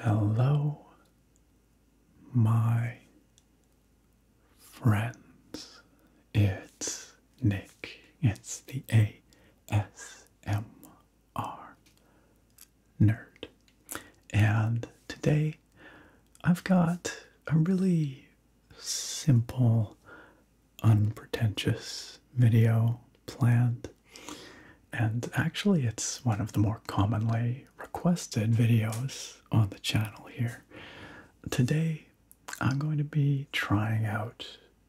Hello, my friends. It's Nick. It's the ASM are nerd. And today I've got a really simple, unpretentious video planned. And actually, it's one of the more commonly requested videos on the channel here. Today, I'm going to be trying out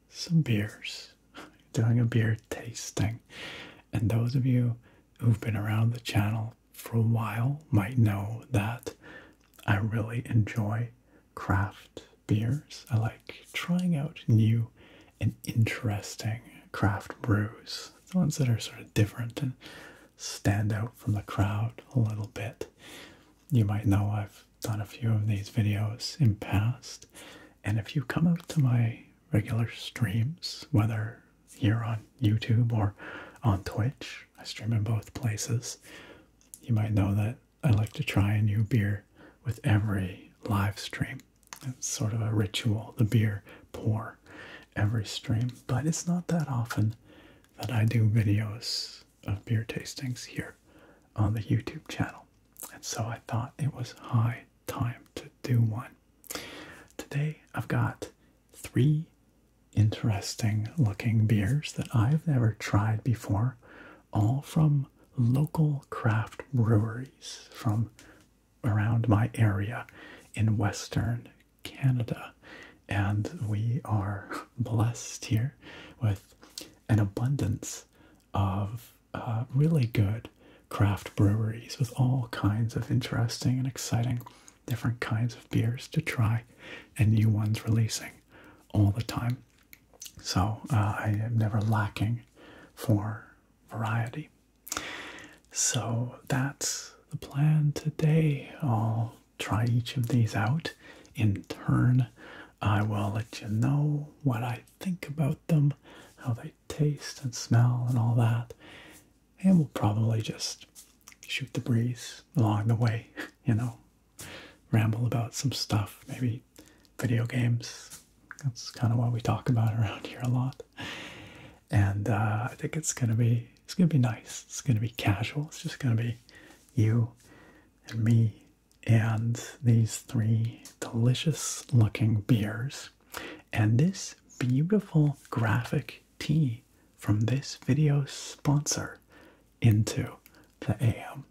some beers doing a beer tasting. And those of you who've been around the channel for a while might know that I really enjoy craft beers. I like trying out new and interesting craft brews, the ones that are sort of different and stand out from the crowd a little bit. You might know I've done a few of these videos in past and if you come out to my regular streams, whether here on YouTube or on Twitch, I stream in both places. You might know that I like to try a new beer with every live stream. It's sort of a ritual, the beer pour every stream, but it's not that often that I do videos of beer tastings here on the YouTube channel. And so I thought it was high time to do one. Today I've got three interesting looking beers that I've never tried before, all from local craft breweries from around my area in Western Canada. And we are blessed here with an abundance of uh, really good craft breweries with all kinds of interesting and exciting different kinds of beers to try and new ones releasing all the time. So uh, I am never lacking for variety. So that's the plan today. I'll try each of these out in turn. I will let you know what I think about them, how they taste and smell and all that. And we'll probably just shoot the breeze along the way, you know, ramble about some stuff, maybe video games. That's kind of what we talk about around here a lot. And uh, I think it's gonna be it's gonna be nice. It's gonna be casual. It's just gonna be you and me and these three delicious looking beers and this beautiful graphic T from this video sponsor into the AM.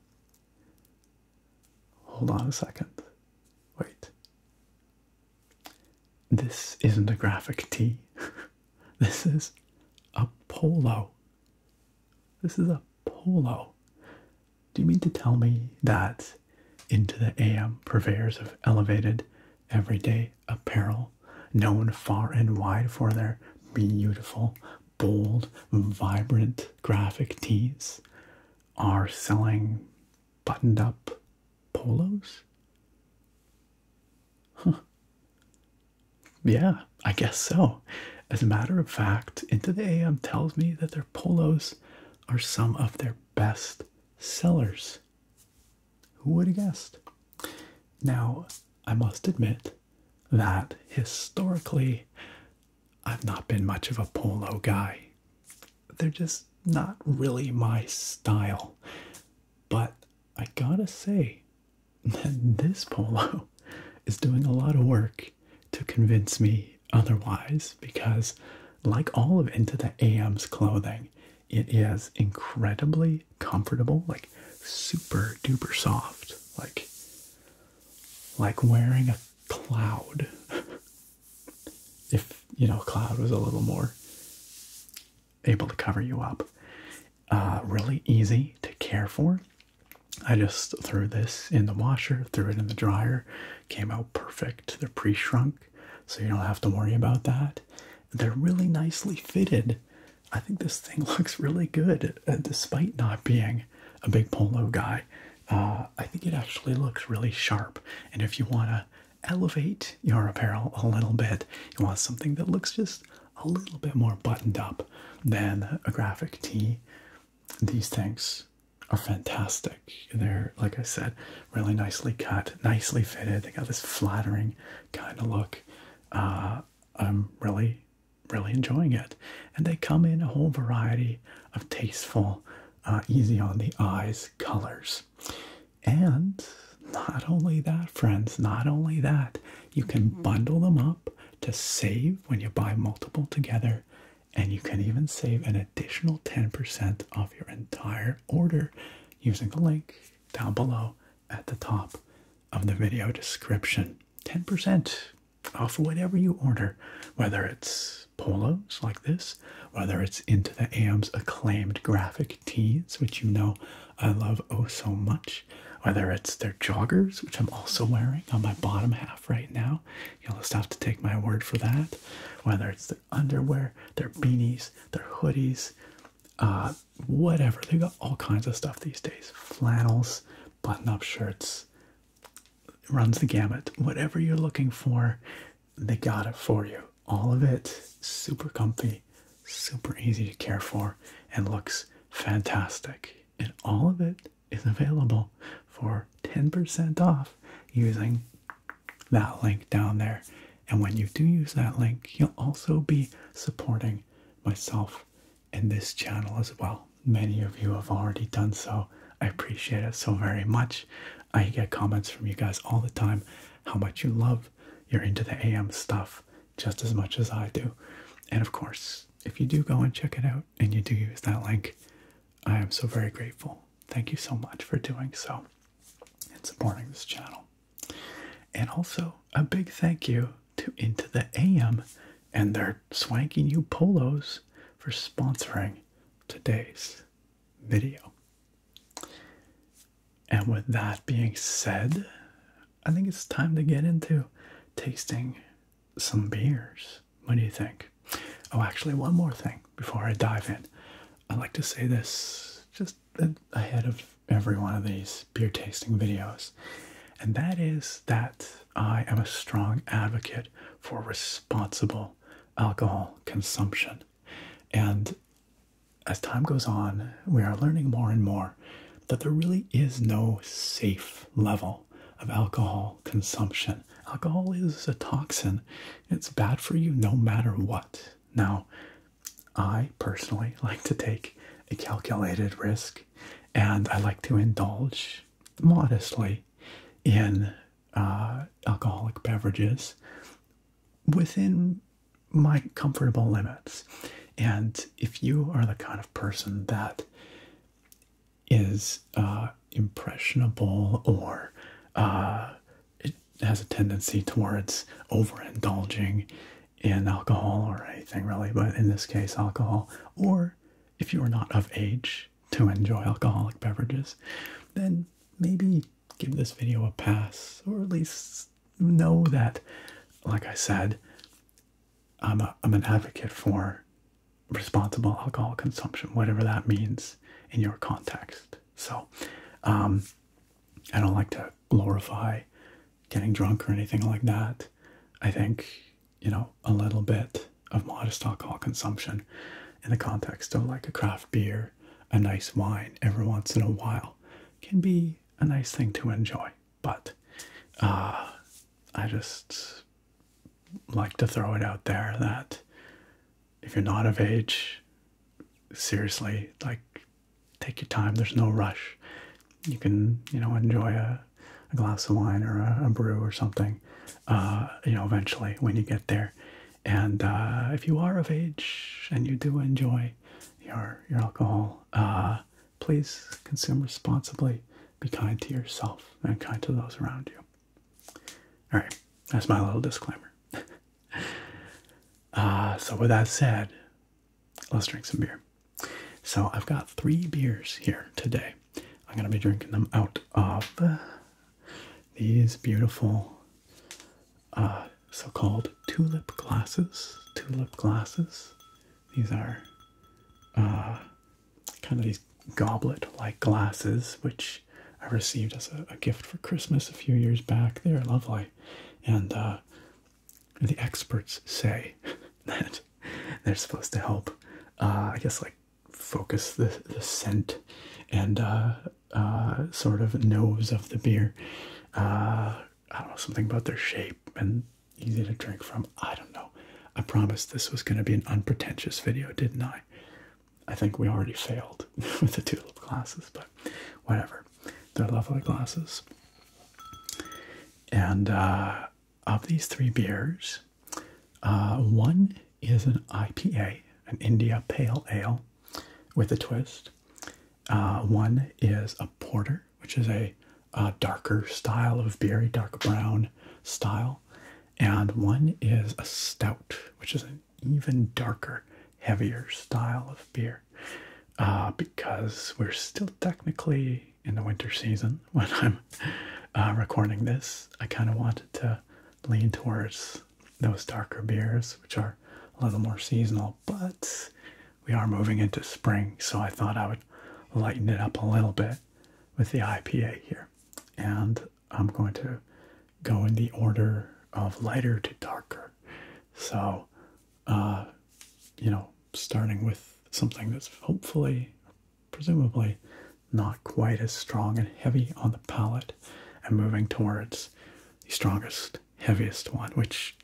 Hold on a second. Wait. This isn't a graphic T. this is a polo. This is a polo. Do you mean to tell me that into the AM purveyors of elevated everyday apparel, known far and wide for their beautiful, bold, vibrant graphic tees, are selling buttoned up polos? Yeah, I guess so. As a matter of fact, Into the AM tells me that their polos are some of their best sellers. Who would have guessed? Now, I must admit that historically, I've not been much of a polo guy. They're just not really my style. But I gotta say that this polo is doing a lot of work to convince me otherwise because, like all of Into the AM's clothing, it is incredibly comfortable, like super duper soft, like like wearing a cloud. if you know, cloud was a little more able to cover you up. Uh, really easy to care for. I just threw this in the washer, threw it in the dryer, came out perfect. They're pre shrunk, so you don't have to worry about that. They're really nicely fitted. I think this thing looks really good, uh, despite not being a big polo guy. Uh, I think it actually looks really sharp. And if you want to elevate your apparel a little bit, you want something that looks just a little bit more buttoned up than a graphic tee, these things are fantastic. They're, like I said, really nicely cut, nicely fitted. They got this flattering kind of look. Uh, I'm really, really enjoying it. And they come in a whole variety of tasteful, uh, easy on the eyes colors. And not only that, friends, not only that, you can mm-hmm. bundle them up to save when you buy multiple together. And you can even save an additional 10% of your entire order using the link down below at the top of the video description. 10% off of whatever you order, whether it's polos like this, whether it's into the AM's acclaimed graphic tees, which you know I love oh so much, whether it's their joggers, which I'm also wearing on my bottom half right now. You'll just have to take my word for that. Whether it's the underwear, their beanies, their hoodies, uh, whatever. They got all kinds of stuff these days. Flannels, button-up shirts, runs the gamut. Whatever you're looking for, they got it for you. All of it super comfy, super easy to care for, and looks fantastic. And all of it is available for 10% off using that link down there. And when you do use that link, you'll also be supporting myself and this channel as well. Many of you have already done so. I appreciate it so very much. I get comments from you guys all the time how much you love you're into the AM stuff just as much as I do. And of course, if you do go and check it out and you do use that link, I am so very grateful. Thank you so much for doing so and supporting this channel. And also a big thank you to Into the AM and their swanky new polos for sponsoring today's video. And with that being said, I think it's time to get into tasting some beers. What do you think? Oh, actually, one more thing before I dive in. I like to say this just ahead of every one of these beer tasting videos, and that is that I am a strong advocate for responsible alcohol consumption. And as time goes on, we are learning more and more that there really is no safe level of alcohol consumption. Alcohol is a toxin, it's bad for you no matter what. Now, I personally like to take a calculated risk and I like to indulge modestly in uh, alcoholic beverages within my comfortable limits. And if you are the kind of person that is uh, impressionable or uh, has a tendency towards overindulging in alcohol or anything really, but in this case, alcohol, or if you are not of age to enjoy alcoholic beverages, then maybe give this video a pass, or at least know that, like I said, I'm, a, I'm an advocate for responsible alcohol consumption, whatever that means in your context. So, um, I don't like to glorify getting drunk or anything like that. I think, you know, a little bit of modest alcohol consumption in the context of like a craft beer, a nice wine every once in a while can be a nice thing to enjoy. But uh, I just like to throw it out there that if you're not of age, seriously, like, take your time. There's no rush. You can, you know, enjoy a, glass of wine or a, a brew or something, uh, you know, eventually when you get there. And uh, if you are of age and you do enjoy your, your alcohol, uh, please consume responsibly. Be kind to yourself and kind to those around you. All right, that's my little disclaimer. Uh, so, with that said, let's drink some beer. So, I've got three beers here today. I'm going to be drinking them out of these beautiful uh, so called tulip glasses. Tulip glasses. These are uh, kind of these goblet like glasses, which I received as a gift for Christmas a few years back. They're lovely. And uh, the experts say that they're supposed to help, uh, I guess, like focus the, the scent and uh, sort of nose of the beer. I don't know, something about their shape and easy to drink from. I don't know. I promised this was going to be an unpretentious video, didn't I? I think we already failed with the tulip glasses, but whatever. They're lovely glasses. And uh, of these three beers, uh, one is an IPA, an India Pale Ale with a twist. Uh, one is a porter, which is a, darker style of beer, dark brown style. And one is a stout, which is a even darker, heavier style of beer uh, because we're still technically in the winter season when I'm uh, recording this. I kind of wanted to lean towards those darker beers, which are a little more seasonal, but we are moving into spring, so I thought I would lighten it up a little bit with the IPA here. And I'm going to go in the order of lighter to darker so, uh, you know, starting with something that's hopefully, presumably, not quite as strong and heavy on the palate, and moving towards the strongest, heaviest one, which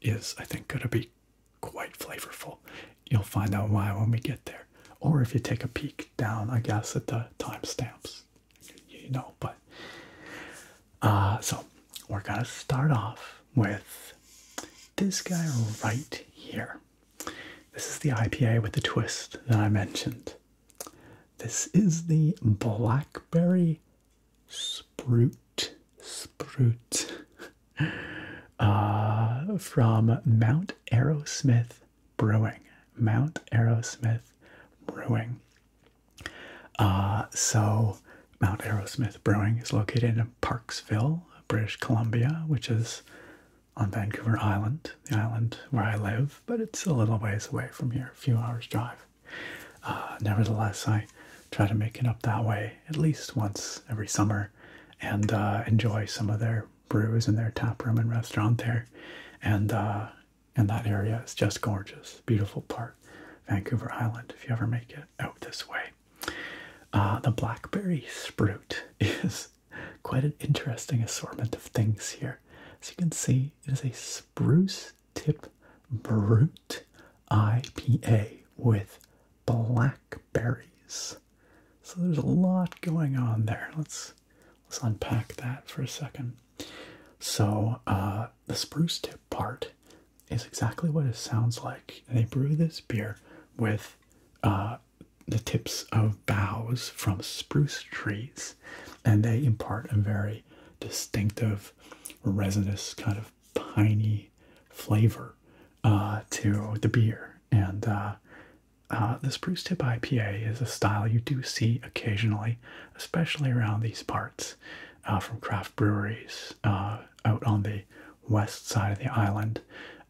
is, I think, going to be quite flavorful. You'll find out why when we get there. Or if you take a peek down, I guess, at the timestamps, you know, but uh, so we're gonna start off with this guy right here. This is the IPA with the twist that I mentioned. This is the blackberry Sprout Sprout uh, from Mount Aerosmith Brewing. Mount Aerosmith Brewing. Uh, so, Mount Aerosmith Brewing is located in Parksville, British Columbia, which is on Vancouver Island, the island where I live, but it's a little ways away from here, a few hours drive. Uh, nevertheless, I try to make it up that way at least once every summer and uh, enjoy some of their brews in their tap room and restaurant there. And and that area is just gorgeous. Beautiful part, Vancouver Island, if you ever make it out this way. Uh, the blackberry sprout is quite an interesting assortment of things here. As you can see, it is a spruce tip brute IPA with blackberries. So there's a lot going on there. Let's let's unpack that for a second. So uh, the spruce tip part is exactly what it sounds like. They brew this beer with uh, the tips of boughs from spruce trees, and they impart a very distinctive, resinous, kind of piney flavor uh, to the beer. And uh, uh the spruce tip IPA is a style you do see occasionally, especially around these parts uh, from craft breweries uh, out on the west side of the island.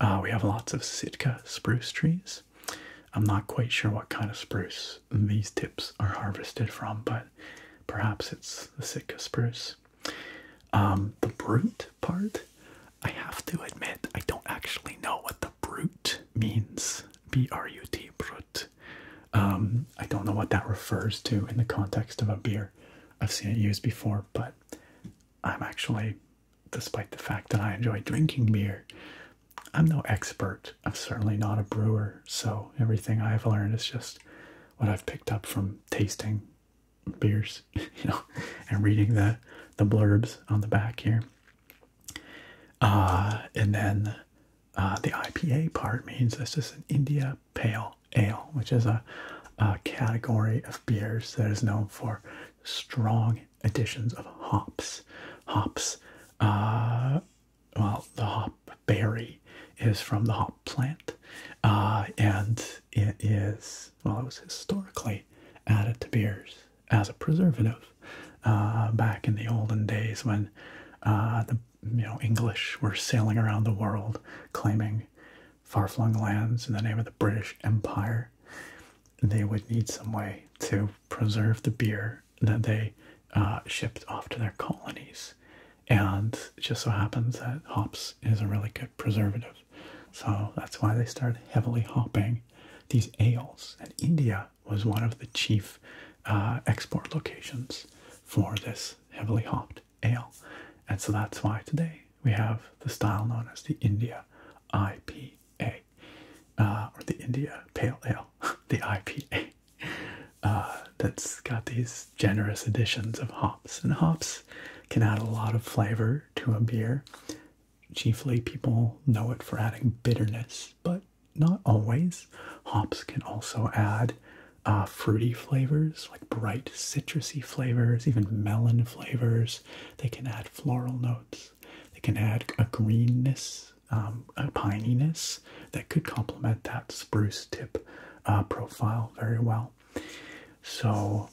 Uh, we have lots of Sitka spruce trees. I'm not quite sure what kind of spruce these tips are harvested from, but perhaps it's the Sitka spruce. Um, the brute part, I have to admit, I don't actually know what the brute means. B R U T, brut. Um, I don't know what that refers to in the context of a beer. I've seen it used before, but I'm actually, despite the fact that I enjoy drinking beer, I'm no expert. I'm certainly not a brewer, so everything I've learned is just what I've picked up from tasting beers, you know, and reading the the blurbs on the back here. Uh, and then uh, the IPA part means this is an India pale ale, which is a, a category of beers that is known for strong additions of hops. Hops, uh, well, the hop berry is from the hop plant, uh, and it is, well, it was historically added to beers as a preservative uh, back in the olden days when the you know, English were sailing around the world claiming far flung lands in the name of the British Empire. They would need some way to preserve the beer that they uh, shipped off to their colonies. And it just so happens that hops is a really good preservative. So that's why they started heavily hopping these ales. And India was one of the chief uh, export locations for this heavily hopped ale. And so that's why today we have the style known as the India IPA, uh, or the India Pale Ale, the IPA. Uh, that's got these generous additions of hops. And hops can add a lot of flavor to a beer. Chiefly, people know it for adding bitterness, but not always. Hops can also add uh, fruity flavors, like bright citrusy flavors, even melon flavors. They can add floral notes. They can add a greenness, um, a pininess that could complement that spruce tip uh, profile very well. So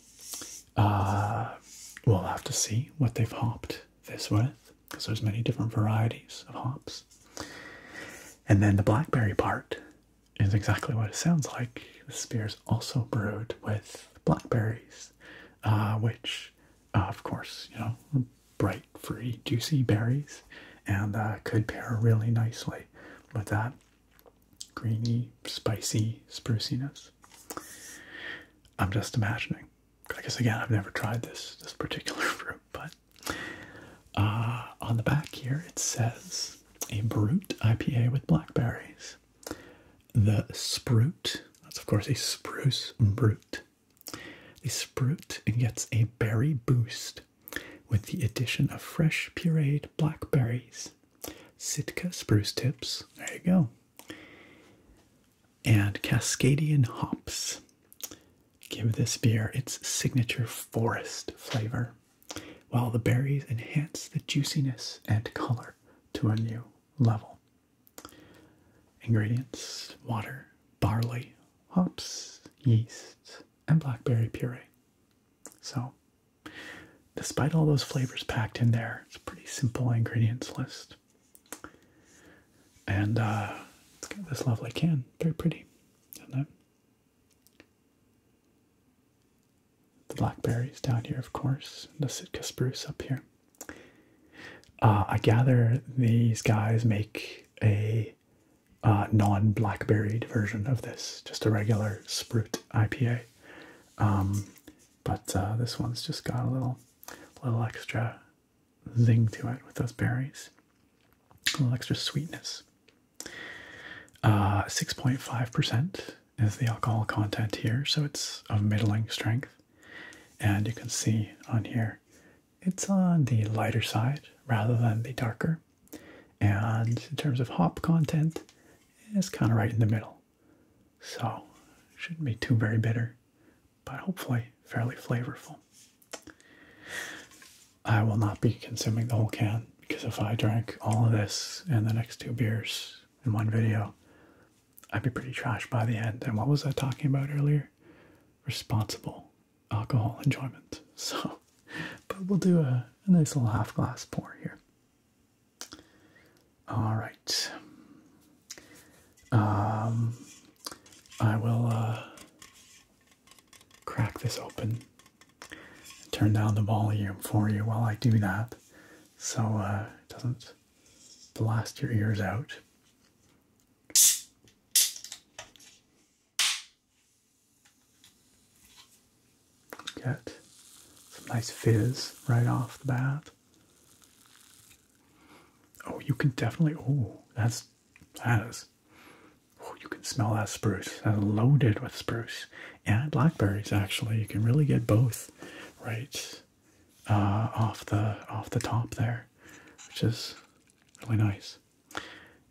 uh, we'll have to see what they've hopped this with because there's many different varieties of hops. And then the blackberry part is exactly what it sounds like. The beer is also brewed with blackberries, uh, which, uh, of course, you know, bright, free, juicy berries, and uh, could pair really nicely with that greeny, spicy spruciness. I'm just imagining. I guess again, I've never tried this this particular fruit, but uh, on the back here, it says a Brute IPA with blackberries. The Sprute, that's of course a spruce Brute. The Sprute gets a berry boost with the addition of fresh pureed blackberries. Sitka spruce tips, there you go. And Cascadian hops give this beer its signature forest flavor while the berries enhance the juiciness and color to a new level. Ingredients water, barley, hops, yeast, and blackberry puree. So, despite all those flavors packed in there, it's a pretty simple ingredients list. And it's uh, got this lovely can, very pretty, isn't the blackberries down here, of course, the Sitka spruce up here. Uh, I gather these guys make a uh, non blackberryed version of this, just a regular Sprut IPA. Um, but uh, this one's just got a little, little extra zing to it with those berries, a little extra sweetness. 6.5% uh, is the alcohol content here, so it's of middling strength. And you can see on here, it's on the lighter side rather than the darker. And in terms of hop content, it's kind of right in the middle. So, shouldn't be too very bitter, but hopefully fairly flavorful. I will not be consuming the whole can because if I drank all of this and the next two beers in one video, I'd be pretty trashed by the end. And what was I talking about earlier? Responsible alcohol enjoyment. So, but we'll do a, nice little half glass pour here. All right. Um, I will uh, crack this open and turn down the volume for you while I do that so uh, it doesn't blast your ears out. Get some nice fizz right off the bat. Oh, you can definitely. Oh, that's that is Oh, you can smell that spruce. That's loaded with spruce and blackberries. Actually, you can really get both right uh, off the off the top there, which is really nice.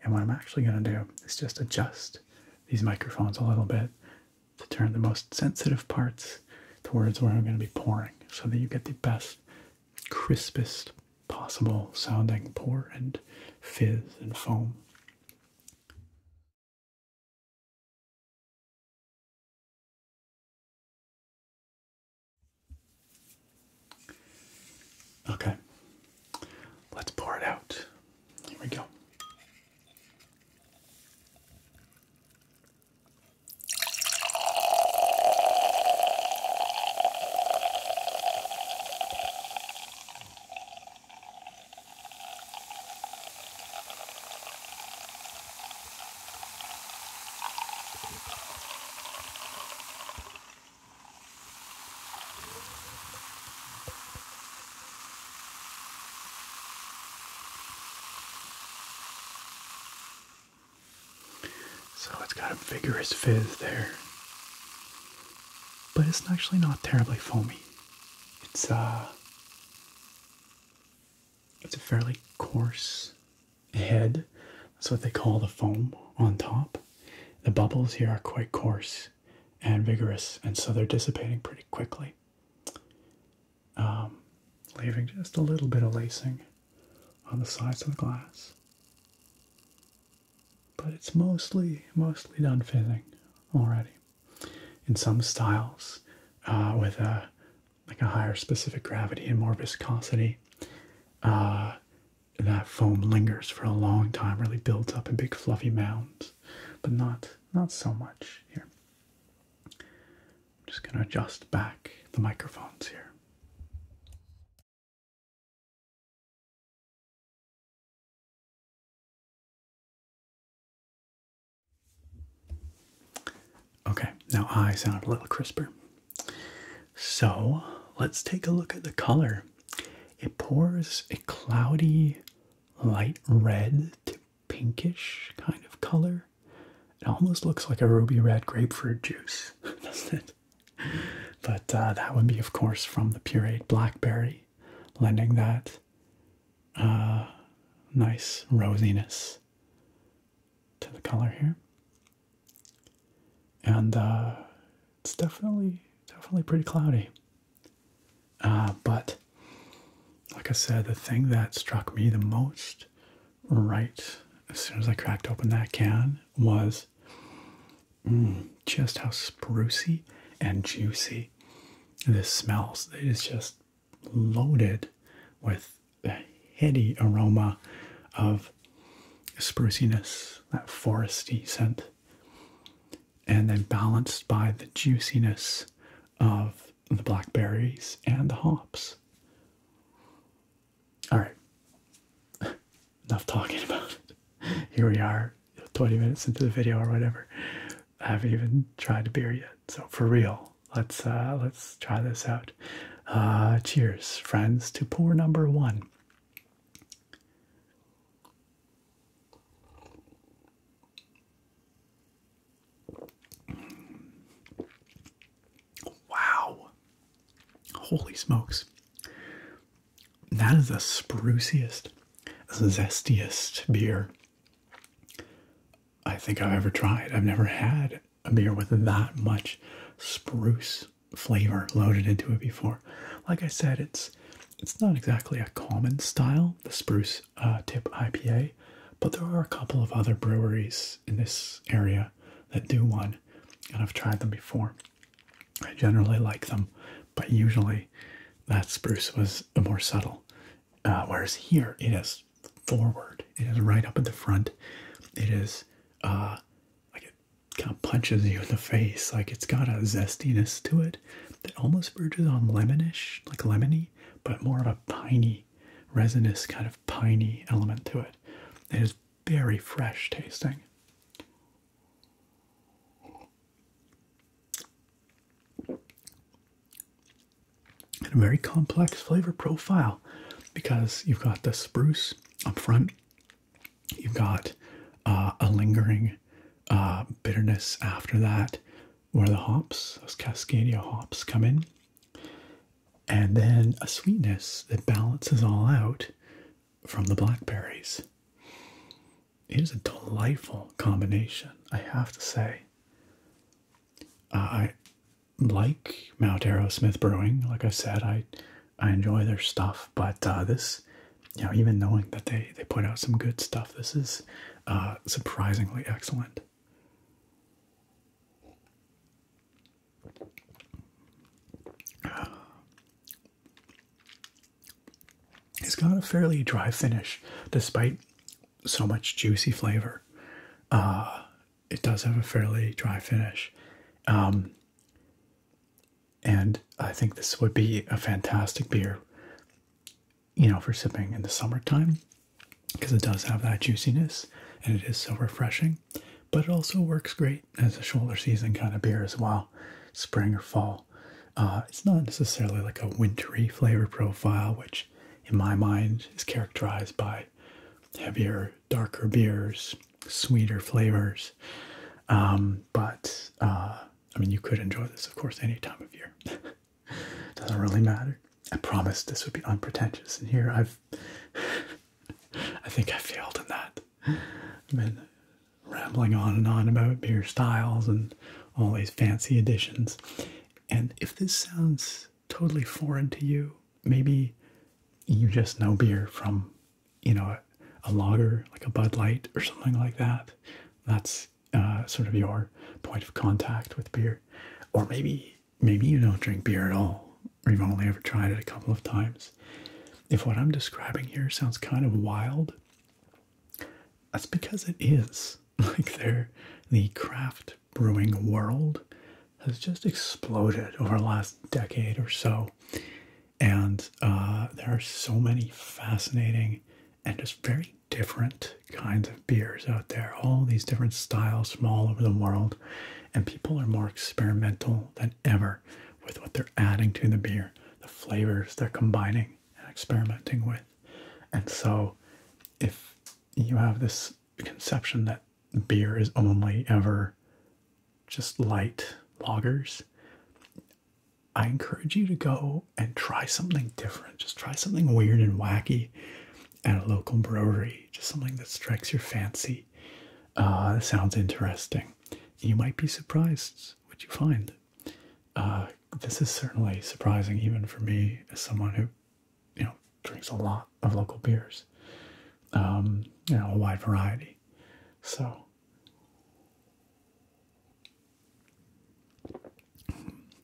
And what I'm actually going to do is just adjust these microphones a little bit to turn the most sensitive parts towards where I'm going to be pouring, so that you get the best, crispest possible sounding pour and fizz and foam. Okay, let's pour it out. Here we go. So it's got a vigorous fizz there but it's actually not terribly foamy. It's uh it's a fairly coarse head. That's what they call the foam on top. The bubbles here are quite coarse and vigorous, and so they're dissipating pretty quickly. Um, leaving just a little bit of lacing on the sides of the glass but it's mostly mostly done fizzing already. In some styles, uh, with a like a higher specific gravity and more viscosity, uh, that foam lingers for a long time, really builds up in big fluffy mounds, but not not so much here. I'm just gonna adjust back the microphones here. Okay, now I sound a little crisper. So let's take a look at the color. It pours a cloudy, light red to pinkish kind of color. It almost looks like a ruby red grapefruit juice, doesn't it? But uh, that would be, of course, from the pureed blackberry lending that uh, nice rosiness to the color here. And uh, it's definitely, definitely pretty cloudy. Uh, but like I said, the thing that struck me the most right as soon as I cracked open that can was Mm, just how sprucy and juicy this smells. It is just loaded with the heady aroma of spruciness, that foresty scent, and then balanced by the juiciness of the blackberries and the hops. All right, enough talking about it. Here we are 20 minutes into the video or whatever. I haven't even tried a beer yet. So for real, let's uh, let's try this out. Uh, cheers, friends, to pour number one. Wow. Holy smokes. That is the spruciest, zestiest beer I think I've ever tried. I've never had a beer with that much spruce flavor loaded into it before. Like I said, it's it's not exactly a common style, the spruce uh, tip IPA, but there are a couple of other breweries in this area that do one, and I've tried them before. I generally like them, but usually that spruce was more subtle. Uh, whereas here it is forward, it is right up at the front. It is uh, like it kind of punches you in the face. Like it's got a zestiness to it that almost verges on lemonish, like lemony, but more of a piney, resinous kind of piney element to it. It is very fresh tasting. And a very complex flavor profile because you've got the spruce up front, you've got uh, a lingering uh, bitterness after that, where the hops, those Cascadia hops, come in, and then a sweetness that balances all out from the blackberries it is a delightful combination, I have to say. I like Mount Arrow Smith Brewing. Like I said, I I enjoy their stuff, but uh, this, you know, even knowing that they they put out some good stuff, this is uh, surprisingly excellent. It's got a fairly dry finish, despite so much juicy flavor. Uh, it does have a fairly dry finish. Um, and I think this would be a fantastic beer, you know, for sipping in the summertime because it does have that juiciness and it is so refreshing. But it also works great as a shoulder season kind of beer as well, spring or fall. Uh, it's not necessarily like a wintry flavor profile, which in my mind is characterized by heavier, darker beers, sweeter flavors. Um, but uh, I mean, you could enjoy this, of course, any time of year. Doesn't really matter. I promised this would be unpretentious, and here I've. I think I failed in that rambling on and on about beer styles and all these fancy additions. And if this sounds totally foreign to you, maybe you just know beer from, you know, a, a lager like a Bud Light or something like that. That's uh, sort of your point of contact with beer. Or maybe maybe you don't drink beer at all, or you've only ever tried it a couple of times. If what I'm describing here sounds kind of wild, that's because it is. Like they the craft brewing world has just exploded over the last decade or so. And uh, there are so many fascinating and just very different kinds of beers out there. All these different styles from all over the world. And people are more experimental than ever with what they're adding to the beer, the flavors they're combining and experimenting with. And so, if you have this conception that beer is only ever just light lagers, I encourage you to go and try something different. Just try something weird and wacky at a local brewery, just something that strikes your fancy. Uh, sounds interesting. You might be surprised what you find. Uh, this is certainly surprising even for me as someone who, you know, drinks a lot of local beers. Um, you know, a wide variety. So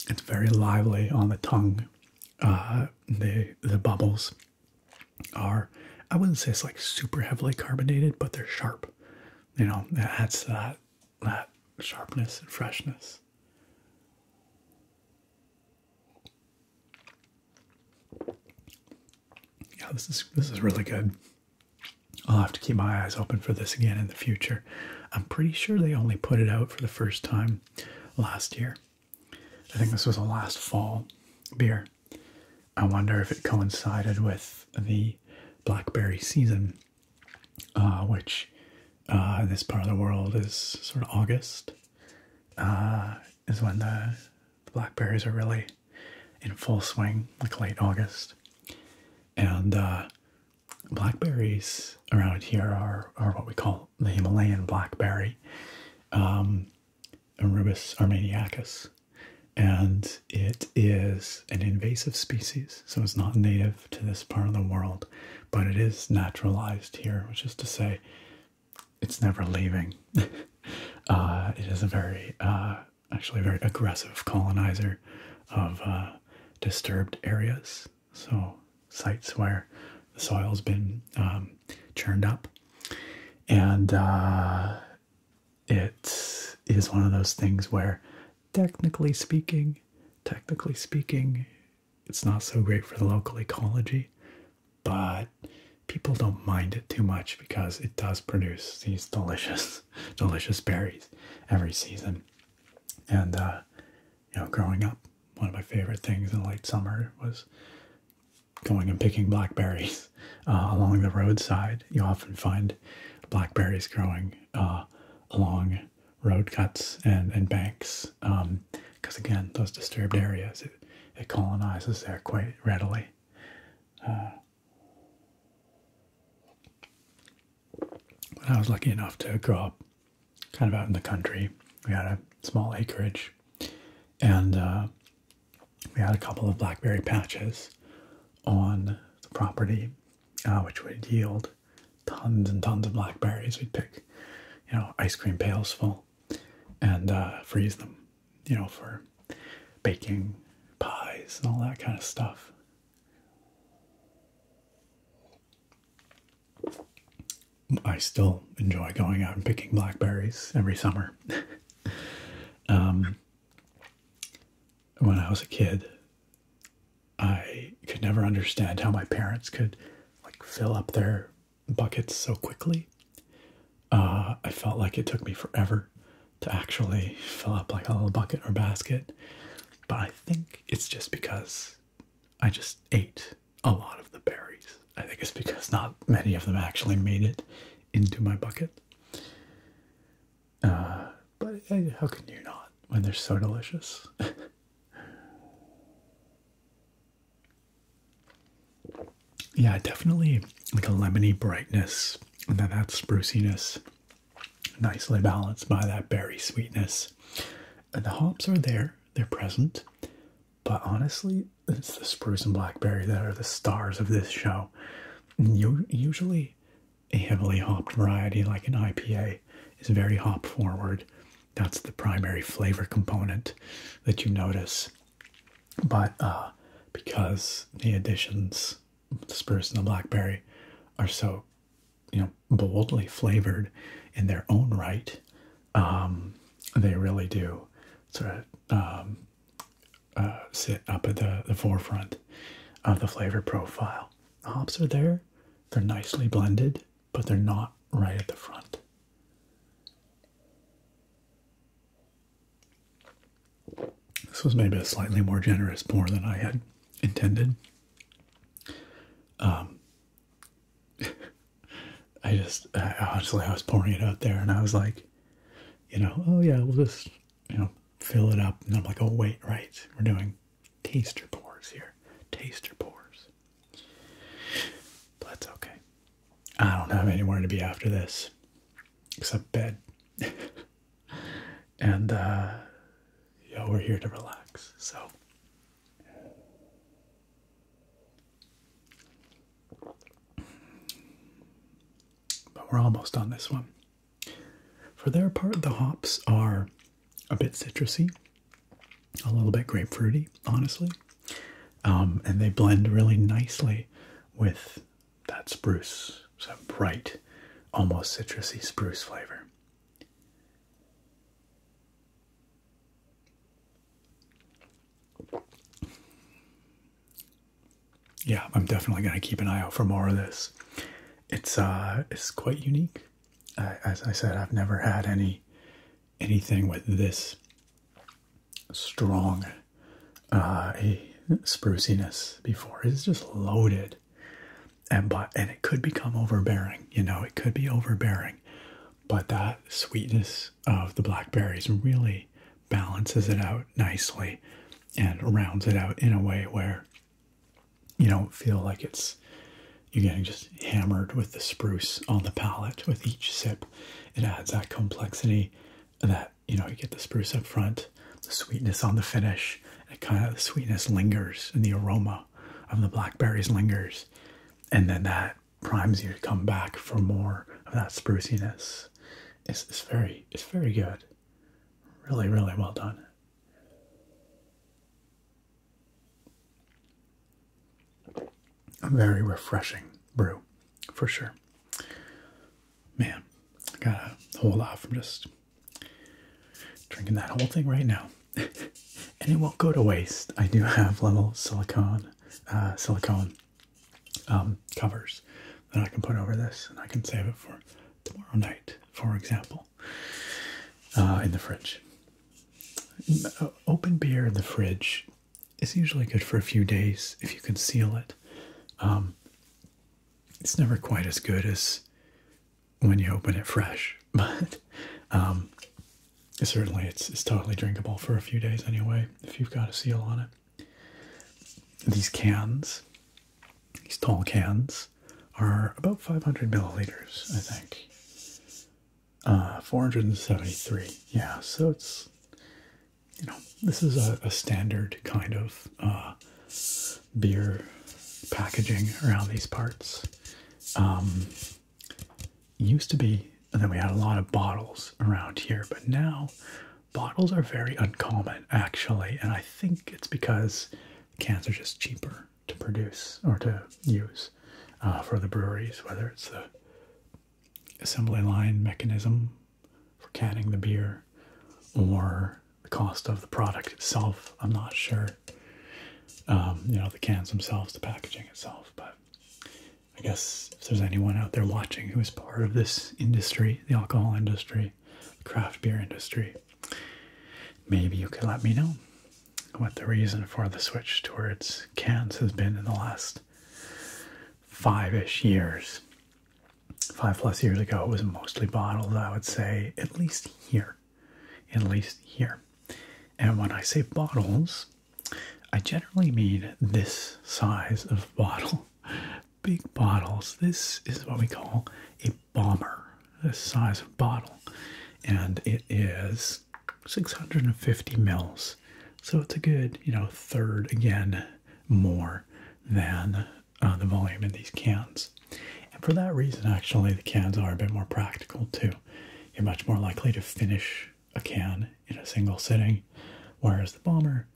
it's very lively on the tongue. Uh, the the bubbles are I wouldn't say it's like super heavily carbonated, but they're sharp. You know, adds to that uh, that sharpness and freshness. Yeah, this is this is really good. I'll have to keep my eyes open for this again in the future. I'm pretty sure they only put it out for the first time last year. I think this was a last fall beer. I wonder if it coincided with the blackberry season uh, which uh, this part of the world is sort of August, uh, is when the, blackberries are really in full swing, like late August. And uh, blackberries around here are, are what we call the Himalayan blackberry, um, armeniacus. And it is an invasive species, so it's not native to this part of the world, but it is naturalized here, which is to say, it's never leaving. Uh, it is a very, uh, actually, a very aggressive colonizer of uh, disturbed areas, so sites where the soil's been um, churned up. And it is one of those things where technically speaking, technically speaking, it's not so great for the local ecology, but people don't mind it too much because it does produce these delicious, delicious berries every season. And uh, you know, growing up, one of my favorite things in late summer was going and picking blackberries uh, along the roadside. You often find blackberries growing uh, along road cuts and, and banks because um, again those disturbed areas it, it colonizes there quite readily uh, I was lucky enough to grow up kind of out in the country we had a small acreage and uh, we had a couple of blackberry patches on the property uh, which would yield tons and tons of blackberries. We'd pick, you know, ice cream pails full and uh, freeze them, you know, for baking pies and all that kind of stuff. I still enjoy going out and picking blackberries every summer. Um, when I was a kid, I could never understand how my parents could like fill up their buckets so quickly. Uh, I felt like it took me forever to actually fill up like a little bucket or basket, but I think it's just because I just ate a lot of the berries. I think it's because not many of them actually made it into my bucket. Uh, but eh, how can you not when they're so delicious? Yeah, definitely like a lemony brightness and then that spruciness, nicely balanced by that berry sweetness. And the hops are there, they're present, but honestly, it's the spruce and blackberry that are the stars of this show. usually a heavily hopped variety like an IPA is very hop forward. That's the primary flavor component that you notice. But uh, because the additions, the spruce and the blackberry, are so, you know, boldly flavored in their own right, um, they really do sort of um, uh, sit up at the, the forefront of the flavor profile hops are there. They're nicely blended, but they're not right at the front. This was maybe a slightly more generous pour than I had intended. Um, I just honestly I was pouring it out there, and I was like, you know, oh yeah, we'll just you know fill it up, and I'm like, oh wait, right, we're doing taster pores here. Taster pores. But that's okay. I don't have anywhere to be after this except bed. and, uh, yeah, we're here to relax. So. But we're almost on this one. For their part, the hops are a bit citrusy, a little bit grapefruity, honestly. Um, and they blend really nicely with that spruce, so bright, almost citrusy spruce flavor. Yeah, I'm definitely going to keep an eye out for more of this. It's uh it's quite unique as I said, I've never had any anything with this strong uh, spruciness before. It's just loaded, and but and it could become overbearing. You know, it could be overbearing, but that sweetness of the blackberries really balances it out nicely and rounds it out in a way where you don't feel like it's you're getting just hammered with the spruce on the palate with each sip. It adds that complexity that, you know, you get the spruce up front, the sweetness on the finish, It kind of the sweetness lingers and the aroma of the blackberries lingers. And then that primes you to come back for more of that spruciness. it's very, it's very good. Really, really well done. A very refreshing brew, for sure. Man, I got to whole lot from just drinking that whole thing right now. and it won't go to waste. I do have little silicone, uh, silicone um, covers that I can put over this, and I can save it for tomorrow night, for example. Uh, in the fridge. Open beer in the fridge is usually good for a few days if you can seal it. Um, it's never quite as good as when you open it fresh, but um, certainly it's, it's totally drinkable for a few days anyway if you've got a seal on it. These cans, these tall cans, are about 500 milliliters, I think. Uh, 473. Yeah, so it's, you know, this is a, standard kind of uh, beer packaging around these parts. Um, used to be, and then we had a lot of bottles around here, but now bottles are very uncommon actually, and I think it's because cans are just cheaper to produce or to use uh, for the breweries, whether it's the assembly line mechanism for canning the beer or the cost of the product itself. I'm not sure. Um, you know, the cans themselves, the packaging itself, but I guess if there's anyone out there watching who is part of this industry, the alcohol industry, craft beer industry, maybe you could let me know what the reason for the switch towards cans has been in the last five ish years. Five plus years ago, it was mostly bottles, I would say, at least here. At least here. And when I say bottles, I generally mean this size of bottle. Big bottles. This is what we call a bomber, this size of bottle. And it is 650 mils. So it's a good, you know, third again more than uh, the volume in these cans. And for that reason, actually, the cans are a bit more practical too. You're much more likely to finish a can in a single sitting, whereas the bomber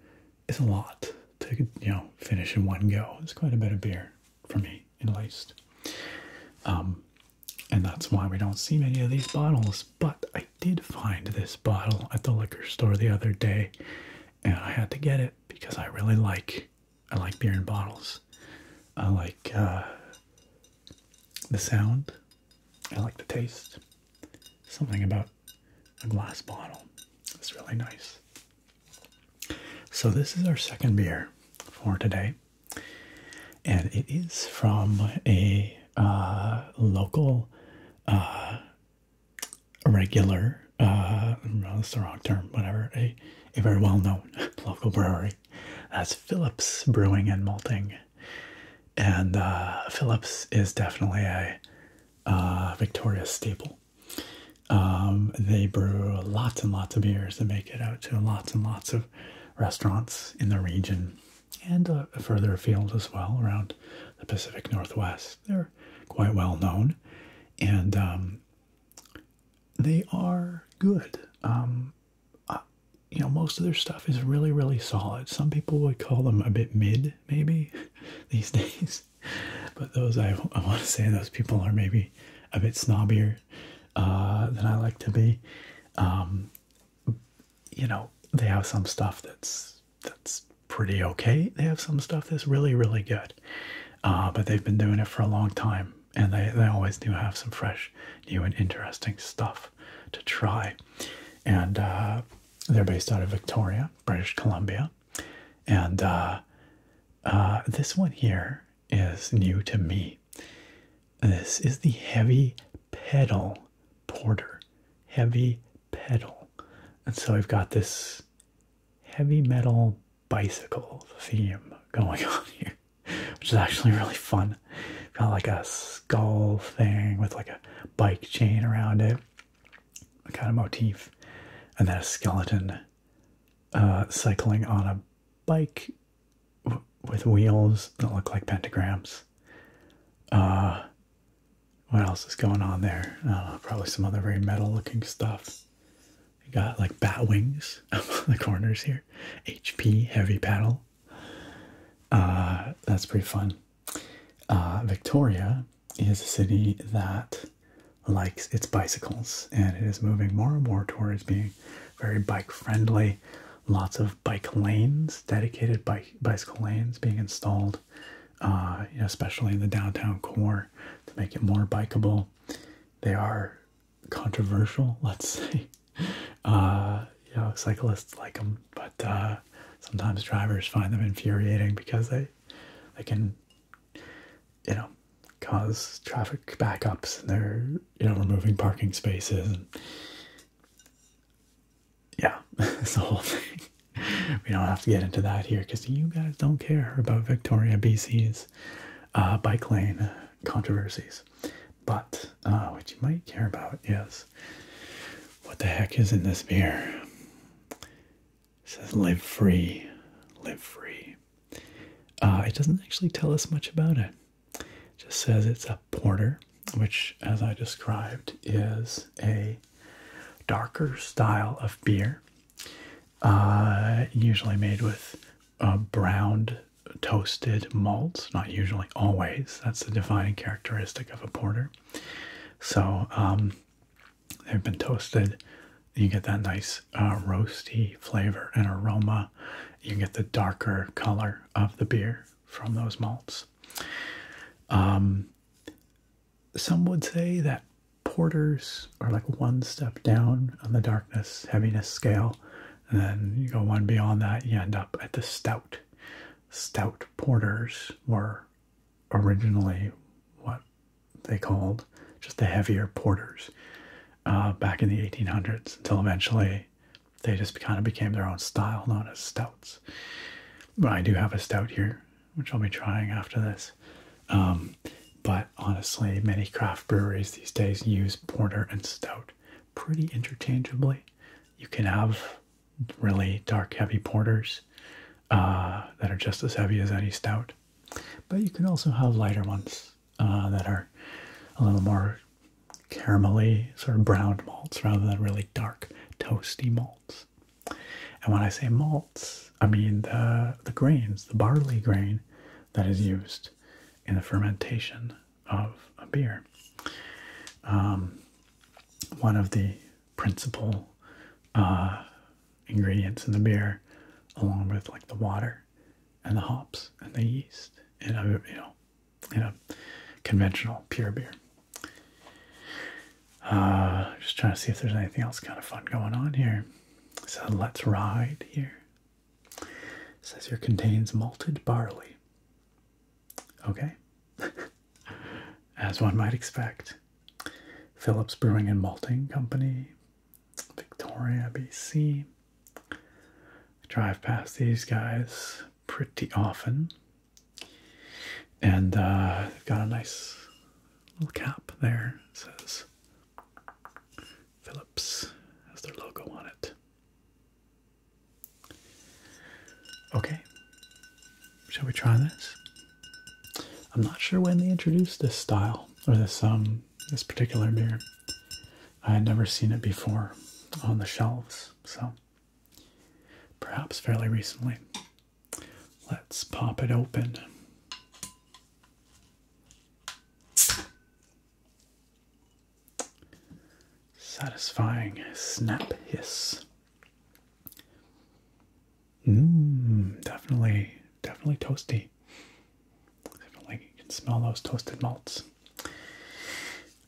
is a lot to, you know, finish in one go. It's quite a bit of beer for me at least. Um, and that's why we don't see many of these bottles. But I did find this bottle at the liquor store the other day, and I had to get it because I really like I like beer in bottles. I like uh, the sound. I like the taste. Something about a glass bottle. It's really nice. So this is our second beer for today and it is from a uh, local uh, regular uh, that's the wrong term whatever a, very well-known local brewery that's Phillips Brewing and Malting and uh, Phillips is definitely a Victoria staple um, they brew lots and lots of beers and make it out to lots and lots of restaurants in the region and further afield as well around the Pacific Northwest. They're quite well known and um, they are good. Um, you know, most of their stuff is really, really solid. Some people would call them a bit mid, maybe, these days. But those, I, I want to say, those people are maybe a bit snobbier uh, than I like to be. Um, you know, they have some stuff that's that's pretty okay. They have some stuff that's really really good, uh, but they've been doing it for a long time, and they they always do have some fresh, new, and interesting stuff to try. And uh, they're based out of Victoria, British Columbia, and this one here is new to me. This is the heavy pedal porter. Heavy pedal. And so I've got this heavy metal bicycle theme going on here, which is actually really fun. Got like a skull thing with like a bike chain around it, kind of motif, and then a skeleton uh, cycling on a bike with wheels that look like pentagrams. Uh, what else is going on there? Uh, probably some other very metal looking stuff. got like bat wings on the corners here. HP heavy paddle. Uh, that's pretty fun. Victoria is a city that likes its bicycles and it is moving more and more towards being very bike friendly lots of bike lanes, dedicated bike bicycle lanes being installed, uh, especially in the downtown core to make it more bikeable. They are controversial, let's say. Uh, you know, cyclists like them, but uh, sometimes drivers find them infuriating because they they can, you know, cause traffic backups. And they're you know, removing parking spaces. And yeah, it's the whole thing. We don't have to get into that here because you guys don't care about Victoria, BC's uh, bike lane controversies. But uh, what you might care about is what the heck is in this beer? It says live free, live free. Uh, it doesn't actually tell us much about it just says it's a porter, which, as I described, is a darker style of beer, uh, usually made with uh, browned toasted malts. Not usually, always. That's the defining characteristic of a porter. So um, they've been toasted. You get that nice uh, roasty flavor and aroma you get the darker color of the beer from those malts. Um, some would say that porters are like one step down on the darkness heaviness scale, and then you go one beyond that, you end up at the stout. Stout porters were originally what they called just the heavier porters uh, back in the 1800s until eventually they just kind of became their own style known as stouts. But I do have a stout here, which I'll be trying after this. Um, but honestly, many craft breweries these days use porter and stout pretty interchangeably. You can have really dark, heavy porters uh, that are just as heavy as any stout, but you can also have lighter ones uh, that are a little more caramelly, sort of browned malts rather than really dark, toasty malts. And when I say malts, I mean the, the grains, the barley grain that is used in the fermentation of a beer. Um, one of the principal uh, ingredients in the beer, along with like the water and the hops and the yeast, and uh, you know you know, conventional pure beer. Uh, just trying to see if there's anything else kind of fun going on here. So let's ride here. says here contains malted barley. Okay, as one might expect. Phillips Brewing and Malting Company, Victoria, BC. Drive past these guys pretty often. And uh, they've got a nice little cap there. It says Phillips has their logo on it. Okay, shall we try this? I'm not sure when they introduced this style or this um this particular beer. I had never seen it before on the shelves so perhaps fairly recently. Let's pop it open. Satisfying snap hiss. Mmm, definitely, definitely toasty. Definitely you can smell those toasted malts.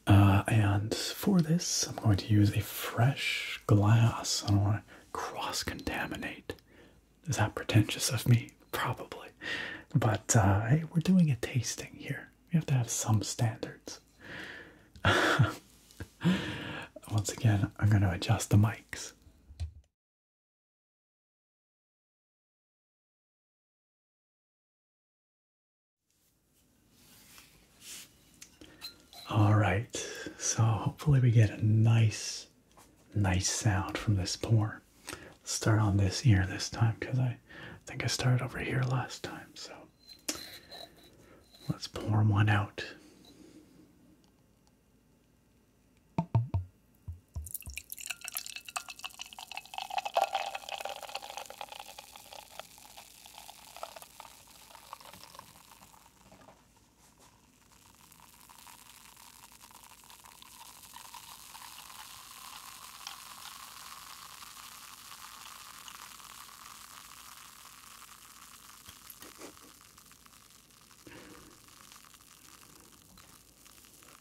Uh, and for this, I'm going to use a fresh glass. I don't want to cross contaminate. Is that pretentious of me? Probably. But uh, hey, we're doing a tasting here. We have to have some standards. Once again, I'm going to adjust the mics. All right, so hopefully we get a nice, nice sound from this pour. start on this ear this time because I think I started over here last time. So let's pour one out.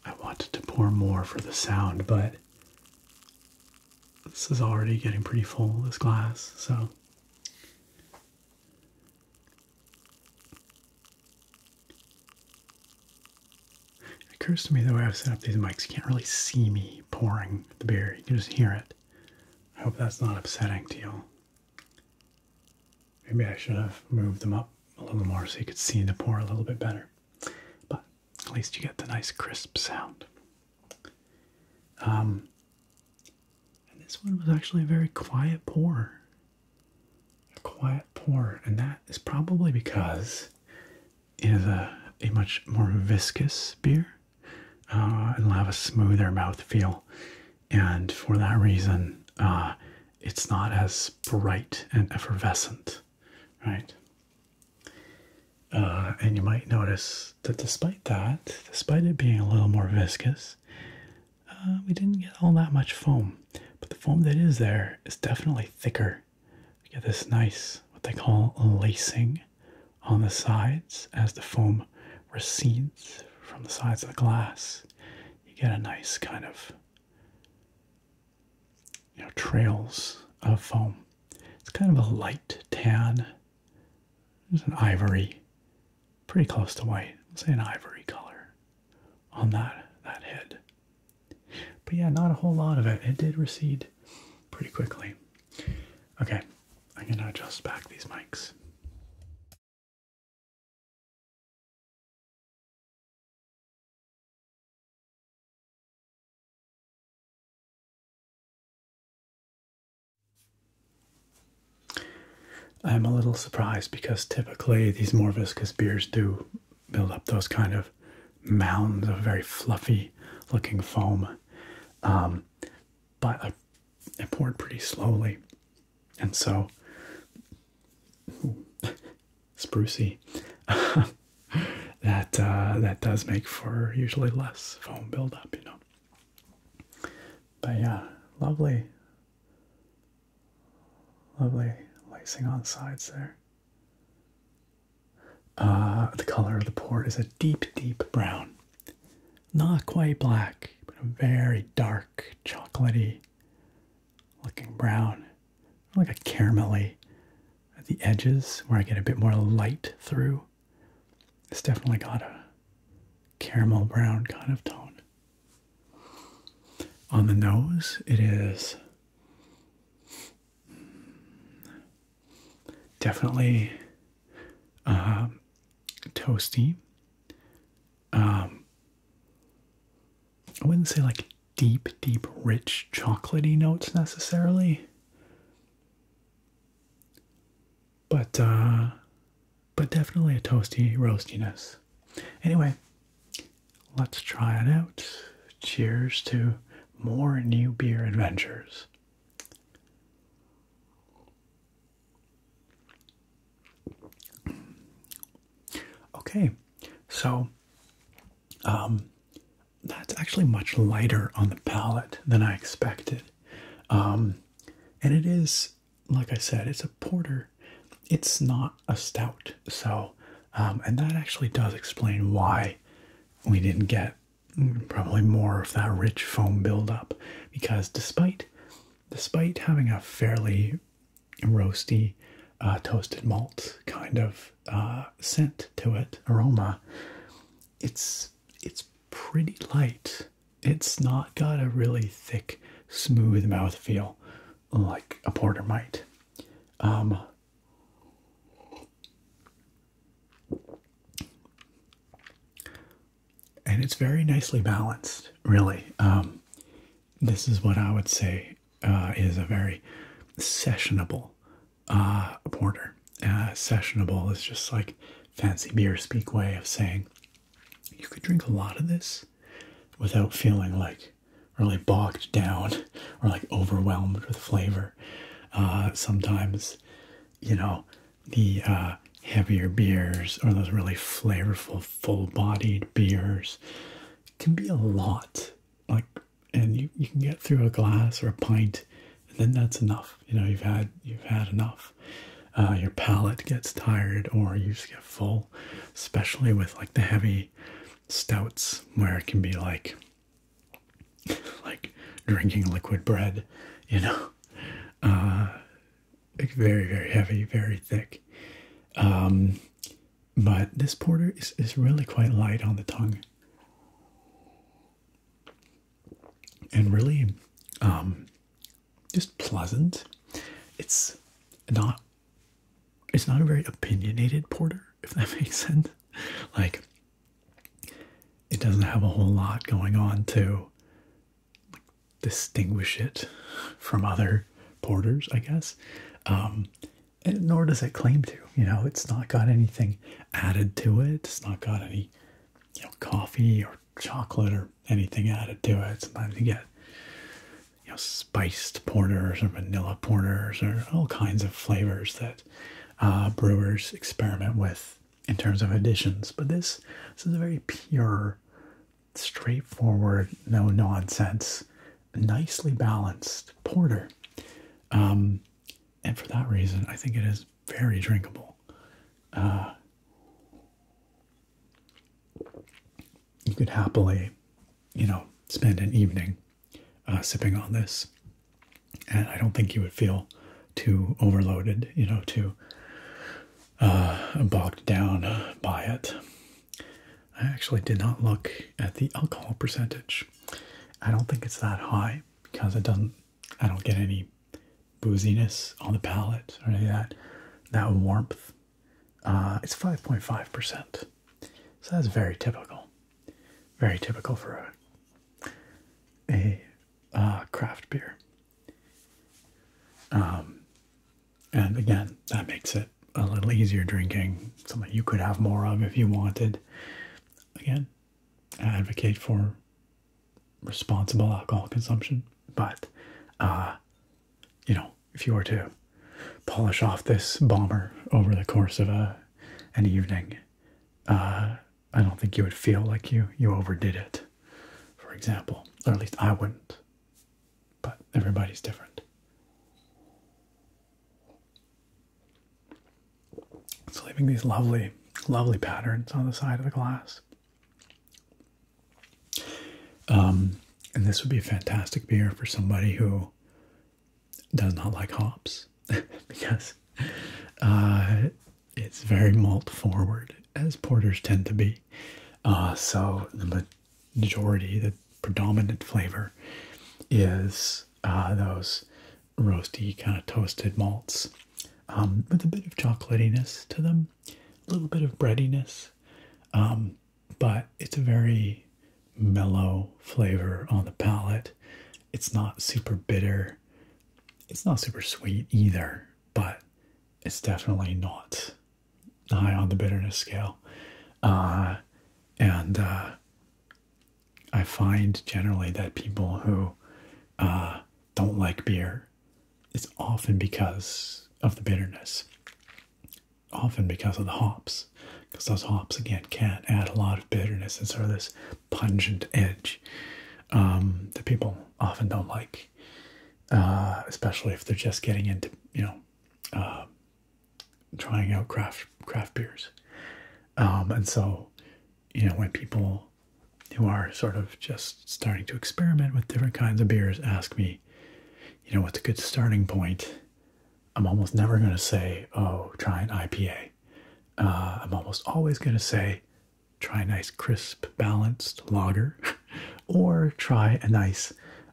I wanted to pour more for the sound, but this is already getting pretty full, this glass, so. It occurs to me the way I've set up these mics, you can't really see me pouring the beer, you can just hear it. I hope that's not upsetting to you. Maybe I should have moved them up a little more so you could see the pour a little bit better. But at least you get the nice crisp sound. Um, and this one was actually a very quiet pour. A quiet pour, and that is probably because it is a, much more viscous beer uh, and will have a smoother mouth feel. And for that reason, uh, it's not as bright and effervescent, right? Uh, and you might notice that despite that, despite it being a little more viscous, uh, we didn't get all that much foam. But the foam that is there is definitely thicker. We get this nice, what they call lacing on the sides as the foam recedes from the sides of the glass. You get a nice kind of you know, trails of foam. It's kind of a light tan. It's an ivory, pretty close to white. say an ivory color on that that head. But yeah, not a whole lot of it. It did recede pretty quickly. Okay, I'm gonna adjust back these mics. I'm a little surprised because typically these more viscous beers do build up those kind of mounds of very fluffy looking foam. Um, but I, poured pretty slowly. And so, ooh, sprucey. that uh, that does make for usually less foam buildup, you know. But yeah, lovely, lovely lacing on sides there. Uh, the color of the port is a deep, deep brown, not quite black, but a very dark, chocolaty looking brown, like a caramelly at the edges where I get a bit more light through it's definitely got a caramel brown kind of tone. On the nose, it is definitely um, toasty. Um, I wouldn't say like deep, deep, rich, chocolaty notes necessarily but uh, but definitely a toasty roastiness. Anyway, let's try it out. Cheers to more new beer adventures. Okay, so um, that's actually much lighter on the palate than I expected. Um, and it is, like I said, it's a porter. It's not a stout. So, um, and that actually does explain why we didn't get probably more of that rich foam buildup. Because despite, despite having a fairly roasty, uh, toasted malt kind of uh, scent to it, aroma, it's it's pretty light. It's not got a really thick, smooth mouth feel, like a porter might. Um, and it's very nicely balanced, really. Um, this is what I would say uh, is a very sessionable uh, a porter. Uh, sessionable is just like fancy beer speak way of saying you could drink a lot of this without feeling like really bogged down or like overwhelmed with flavor. Uh, sometimes, you know, the uh, heavier beers or those really flavorful, full bodied beers can be a lot. Like, and you, you can get through a glass or a pint then that's enough. You know, you've had you've had enough. Uh, your palate gets tired, or you just get full, especially with like the heavy stouts, where it can be like like drinking liquid bread. You know, uh, very very heavy, very thick. Um, but this porter is is really quite light on the tongue and really um, just pleasant. It's not it's not a very opinionated porter, if that makes sense. Like it doesn't have a whole lot going on to distinguish it from other porters, I guess. Um, and nor does it claim to, you know, it's not got anything added to it. It's not got any you know coffee or chocolate or anything added to it. Sometimes you get you know spiced porters or vanilla porters or all kinds of flavors that uh, brewers experiment with in terms of additions. But this this is a very pure, straightforward, no nonsense, nicely balanced porter. Um, and for that reason, I think it is very drinkable. Uh, you could happily, you know, spend an evening uh, sipping on this, and I don't think you would feel too overloaded, you know, too uh, bogged down by it. I actually did not look at the alcohol percentage. I don't think it's that high because it doesn't I don't get any booziness on the palate or any of that. That warmth. Uh, it's 5.5%. So that's very typical. Very typical for a, a uh, craft beer. Um, and again, that makes it a little easier drinking, something you could have more of if you wanted. Again, advocate for responsible alcohol consumption. But, uh, you know, if you were to polish off this bomber over the course of a uh, an evening, uh, I don't think you would feel like you you overdid it. For example, or at least I wouldn't. But everybody's different. It's leaving these lovely, lovely patterns on the side of the glass. Um, and this would be a fantastic beer for somebody who does not like hops because uh, it's very malt forward, as porters tend to be. Uh, so the majority, the predominant flavor is uh, those roasty, kind of toasted malts um, with a bit of chocolatiness to them, a little bit of breadiness, um, but it's a very mellow flavor on the palate. It's not super bitter. It's not super sweet either, but it's definitely not high on the bitterness scale. Uh, and uh, I find generally that people who uh, don't like beer, it's often because of the bitterness, often because of the hops, because those hops again can add a lot of bitterness and sort of this pungent edge um, that people often don't like, uh, especially if they're just getting into you know uh, trying out craft craft beers, um, and so you know when people who are sort of just starting to experiment with different kinds of beers ask me, you know, what's a good starting point? I'm almost never going to say, oh, try an IPA. Uh, I'm almost always going to say, try a nice, crisp, balanced lager, or try a nice,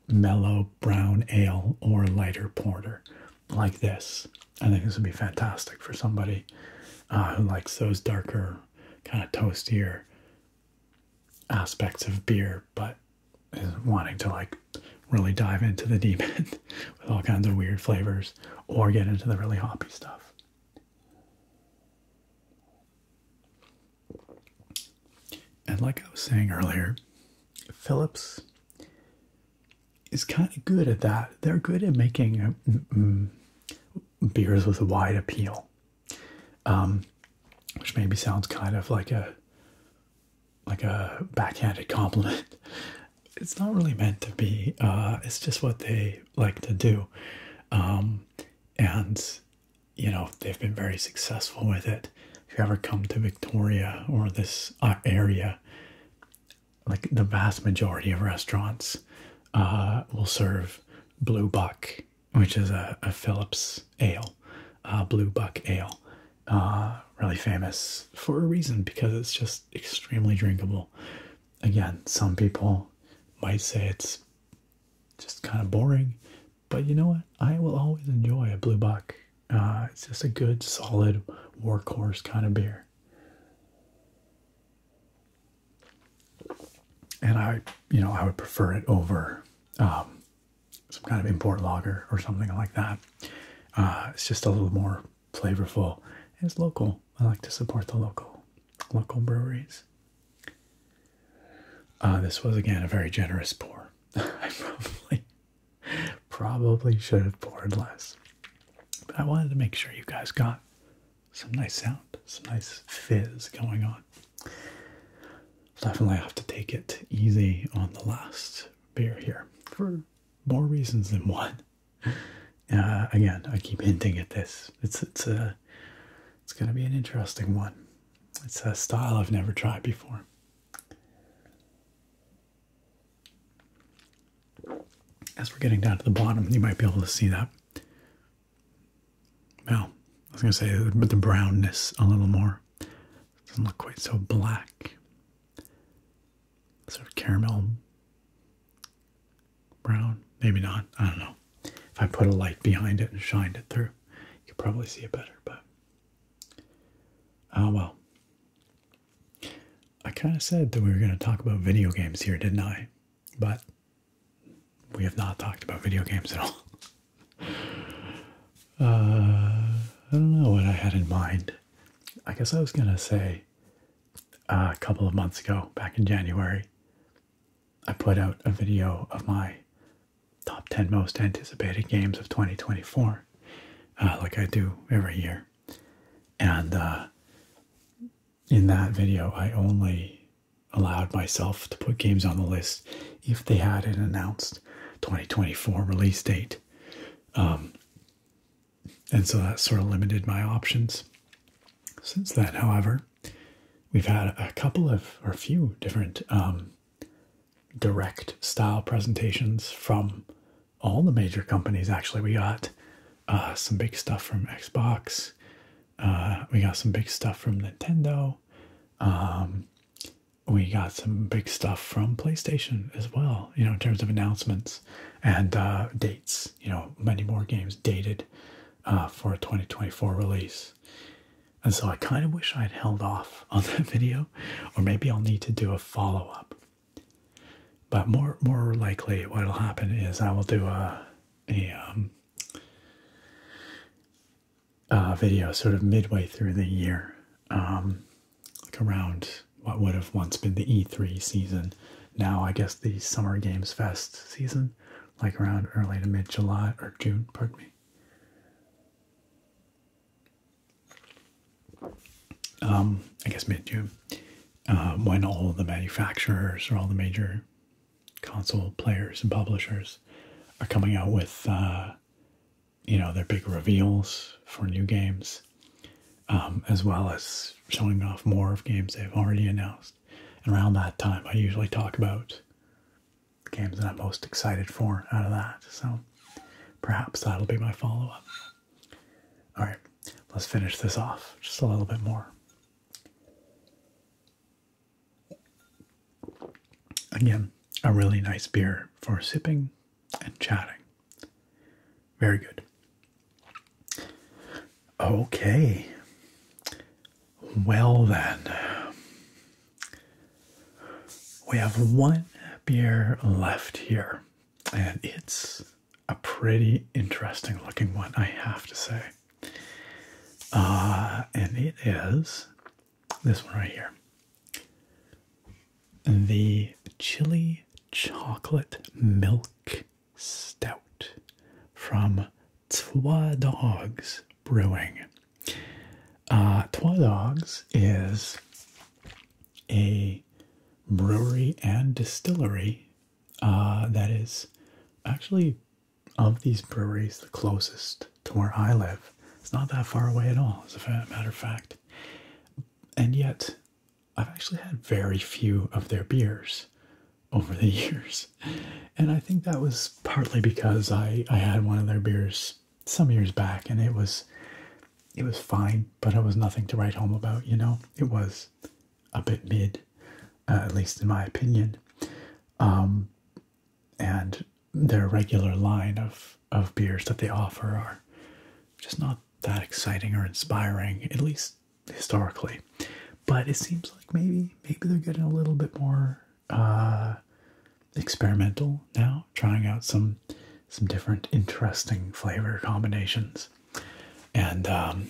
mellow brown ale or lighter porter like this. I think this would be fantastic for somebody Ah, who likes those darker, kind of toastier aspects of beer, but is wanting to like really dive into the deep end with all kinds of weird flavors or get into the really hoppy stuff. And like I was saying earlier, Phillips is kind of good at that. They're good at making mm, mm, beers with a wide appeal, um, which maybe sounds kind of like a like a backhanded compliment. It's not really meant to be. Uh, it's just what they like to do, um, and you know they've been very successful with it. If you ever come to Victoria or this uh, area, like the vast majority of restaurants uh, will serve Blue Buck, which is a, a Phillips ale, uh, Blue Buck ale. Uh, really famous for a reason because it's just extremely drinkable. Again, some people might say it's just kind of boring, but you know what? I will always enjoy a Blue Buck. Uh, it's just a good, solid workhorse kind of beer and I, you know, I would prefer it over um, some kind of import lager or something like that. Uh, it's just a little more flavorful. It's local. I like to support the local local breweries. Uh, this was again a very generous pour. I probably probably should have poured less, but I wanted to make sure you guys got some nice sound, some nice fizz going on. Definitely have to take it easy on the last beer here for more reasons than one. Uh, again, I keep hinting at this. It's it's a it's gonna be an interesting one. It's a style I've never tried before. As we're getting down to the bottom, you might be able to see that well, I was going to say, the brownness a little more. Doesn't look quite so black. Sort of caramel brown. Maybe not. I don't know. If I put a light behind it and shined it through, you could probably see it better, but. Oh well. I kind of said that we were going to talk about video games here, didn't I? But we have not talked about video games at all. Uh, I don't know what I had in mind. I guess I was gonna say uh, a couple of months ago, back in January, I put out a video of my top 10 most anticipated games of 2024, uh, like I do every year. And in that video, I only allowed myself to put games on the list if they had an announced 2024 release date. Um, and so that sort of limited my options. Since then, however, we've had a couple of or a few different um, direct style presentations from all the major companies. Actually, we got uh, some big stuff from Xbox, uh, we got some big stuff from Nintendo. Um, we got some big stuff from PlayStation as well, you know, in terms of announcements and uh, dates. You know, many more games dated uh, for a 2024 release. And so I kind of wish I'd held off on that video, or maybe I'll need to do a follow up. But more more likely, what'll happen is I will do a a um, uh, video sort of midway through the year, um, like around what would have once been the E3 season. Now, I guess the Summer Games Fest season, like around early to mid July or June, pardon me. Um, I guess mid June, uh, when all the manufacturers or all the major console players and publishers are coming out with uh, you know their big reveals for new games um, as well as showing off more of games they've already announced and around that time i usually talk about the games that i'm most excited for out of that so perhaps that'll be my follow-up all right let's finish this off just a little bit more Again, a really nice beer for sipping and chatting. Very good. Okay. Well, then, we have one beer left here, and it's a pretty interesting looking one, I have to say. Uh, and it is this one right here the chili chocolate milk stout from Twa Dogs Brewing. Uh, Trois Dogs is a brewery and distillery uh, that is actually of these breweries the closest to where I live. It's not that far away at all, as a matter of fact. And yet, I've actually had very few of their beers over the years. And I think that was partly because I, I had one of their beers some years back and it was it was fine, but it was nothing to write home about, you know? It was a bit mid, uh, at least in my opinion. Um, and their regular line of, of beers that they offer are just not that exciting or inspiring, at least historically. But it seems like maybe maybe they're getting a little bit more uh, experimental now, trying out some some different interesting flavor combinations. And um,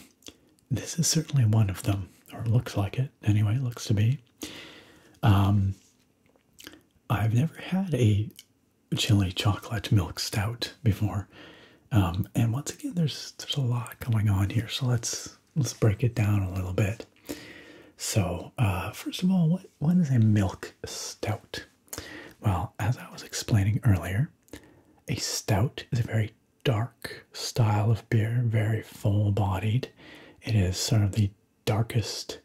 this is certainly one of them, or looks like it. Anyway, it looks to be. Um, I've never had a chili chocolate milk stout before, um, and once again, there's there's a lot going on here. So let's let's break it down a little bit. So uh, first of all, what what is a milk stout? Well, as I was explaining earlier, a stout is a very dark style of beer, very full bodied. It is sort of the darkest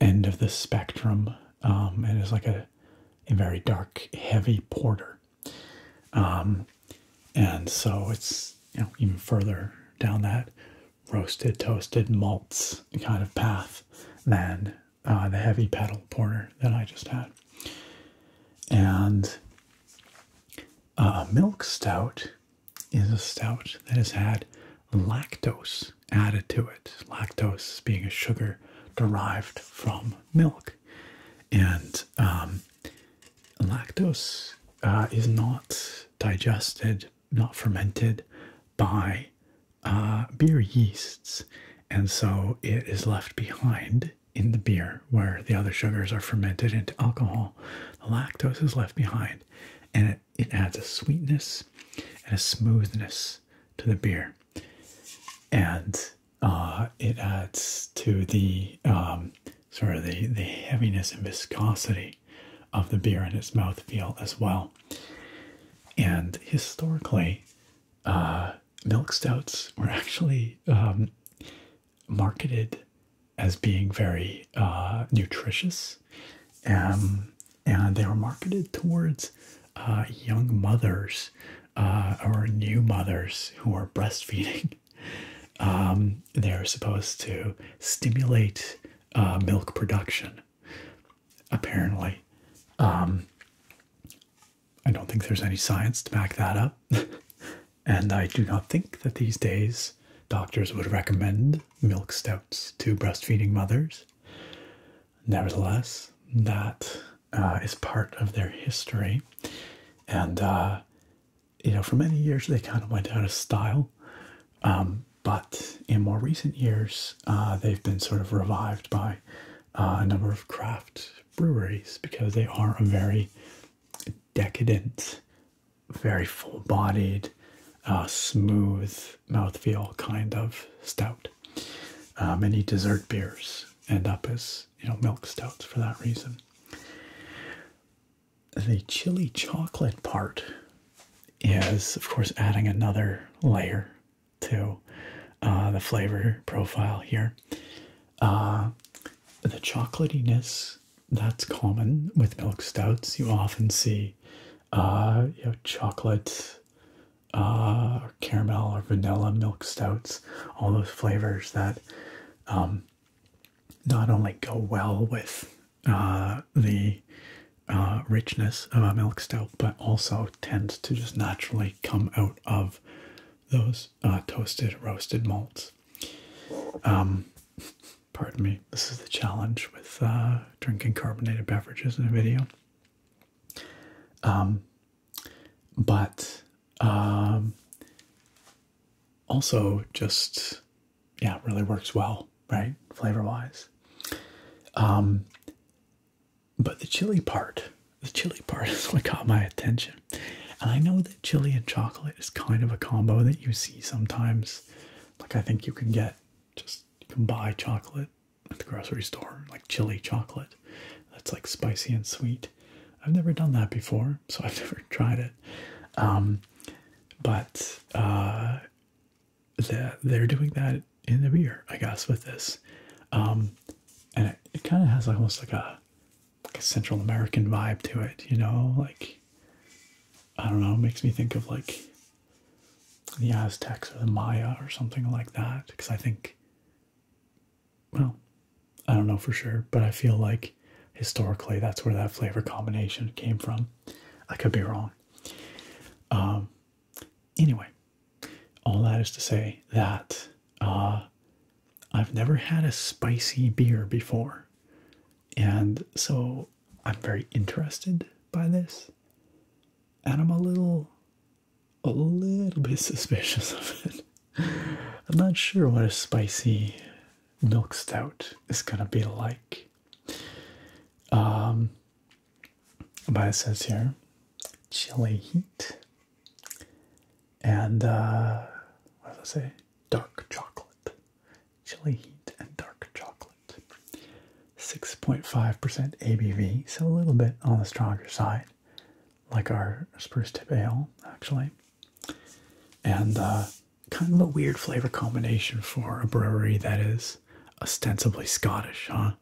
end of the spectrum. Um, it is like a, very dark, heavy porter. Um, and so it's you know even further down that roasted, toasted malts kind of path than uh, the heavy pedal porter that I just had. And uh, milk stout is a stout that has had lactose added to it. Lactose being a sugar derived from milk, and um, lactose uh, is not digested, not fermented by uh, beer yeasts, and so it is left behind in the beer, where the other sugars are fermented into alcohol, the lactose is left behind and it, adds a sweetness and a smoothness to the beer. And uh, it adds to the um, sort of the, heaviness and viscosity of the beer and its mouthfeel as well. And historically, uh, milk stouts were actually um, marketed as being very uh, nutritious, um, and they were marketed towards uh, young mothers uh, or new mothers who are breastfeeding. Um, they're supposed to stimulate milk production, apparently. Um, I don't think there's any science to back that up. and I do not think that these days doctors would recommend milk stouts to breastfeeding mothers. Nevertheless, that uh, is part of their history. And, uh, you know, for many years they kind of went out of style. Um, but in more recent years, uh, they've been sort of revived by a number of craft breweries because they are a very decadent very full bodied, uh, smooth mouthfeel kind of stout. Uh, many dessert beers end up as you know milk stouts for that reason. The chili chocolate part is, of course, adding another layer to uh, the flavor profile here. Uh, the chocolatiness that's common with milk stouts. You often see, uh, you chocolate, uh, caramel or vanilla milk stouts. All those flavors that um, not only go well with uh, the uh, richness of a milk stout, but also tends to just naturally come out of those uh, toasted roasted malts. Um, Pardon me. This is the challenge with uh, drinking carbonated beverages in a video. Um, but um, also just yeah, really works well, right? Flavor wise. Um, but the chili part, the chili part is what caught my attention, and I know that chili and chocolate is kind of a combo that you see sometimes. Like, I think you can get just you can buy chocolate at the grocery store, like chili chocolate that's like spicy and sweet. I've never done that before, so I've never tried it. Um, but uh, they're doing that in the beer, I guess, with this. Um, and it, it kind of has almost like a like a Central American vibe to it, you know, like I don't know, makes me think of like the Aztecs or the Maya or something like that. Because I think, well, I don't know for sure, but I feel like historically that's where that flavor combination came from. I could be wrong. Um, anyway, all that is to say that uh, I've never had a spicy beer before. And so I'm very interested by this. And I'm a little a little bit suspicious of it. I'm not sure what a spicy milk stout is gonna be like. Um but it says here chili heat and uh what does it say? Dark chocolate chili heat, and dark chocolate. 6.5% ABV, so a little bit on the stronger side, like our spruce tip ale, actually. And uh, kind of a weird flavor combination for a brewery that is ostensibly Scottish, huh?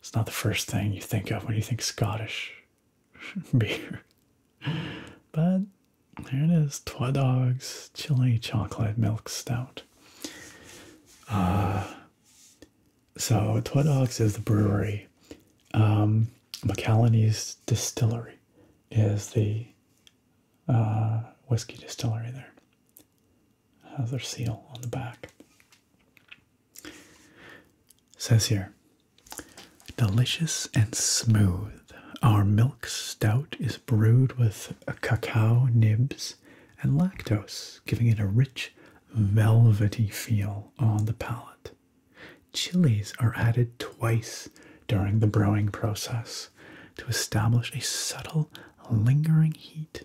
It's not the first thing you think of when you think Scottish beer. But there it is, Twa Dogs Chili Chocolate Milk Stout. Uh, so Twa Dogs is the brewery. Um, Distillery is the uh, whiskey distillery there. Has their seal on the back. says here, delicious and smooth. Our milk stout is brewed with cacao nibs and lactose, giving it a rich, velvety feel on the palate. Chillies are added twice during the brewing process to establish a subtle, lingering heat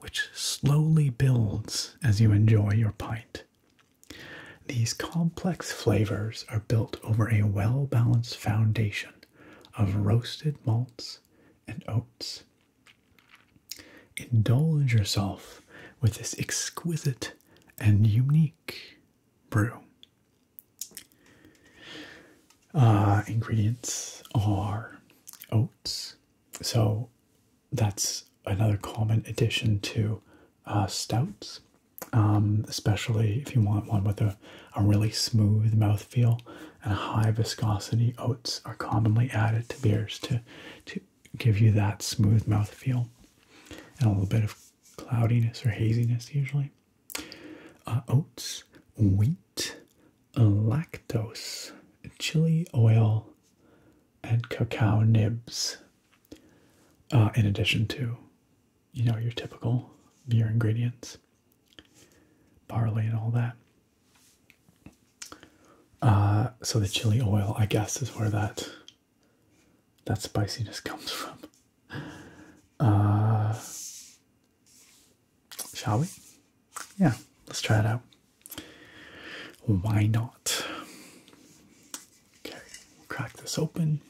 which slowly builds as you enjoy your pint. These complex flavors are built over a well balanced foundation of roasted malts and oats. Indulge yourself with this exquisite and unique brew. Uh, ingredients are oats, so that's another common addition to uh, stouts. Um, especially if you want one with a, a really smooth mouth feel and a high viscosity. Oats are commonly added to beers to, to give you that smooth mouth feel and a little bit of cloudiness or haziness, usually. Uh, oats, wheat, lactose, chili oil, and cacao nibs, uh, in addition to you know, your typical beer ingredients, barley and all that. Uh, so the chili oil, I guess, is where that that spiciness comes from. Uh, shall we? Yeah, let's try it out. Why not? Okay, crack this open.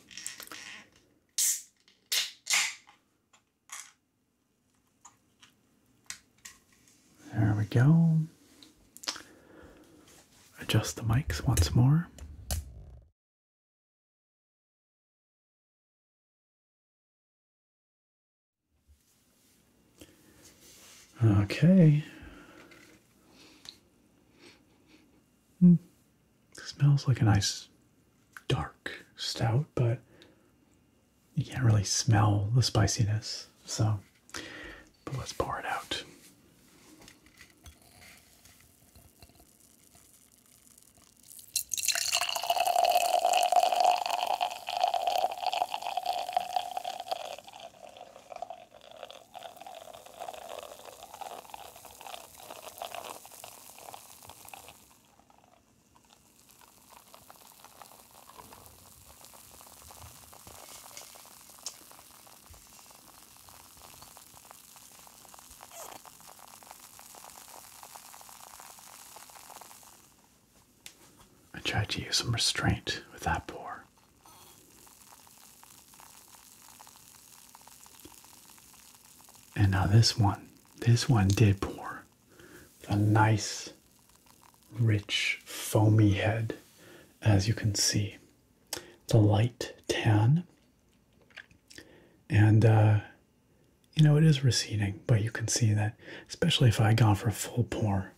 There we go. Adjust the mics once more. Okay. Hmm. smells like a nice dark stout, but you can't really smell the spiciness. So, but let's pour it out. I tried to use some restraint with that poor, And now this one this one did pour. A nice, rich, foamy head, as you can see. It's a light tan. And, uh, you know, it is receding, but you can see that, especially if I had gone for a full pour,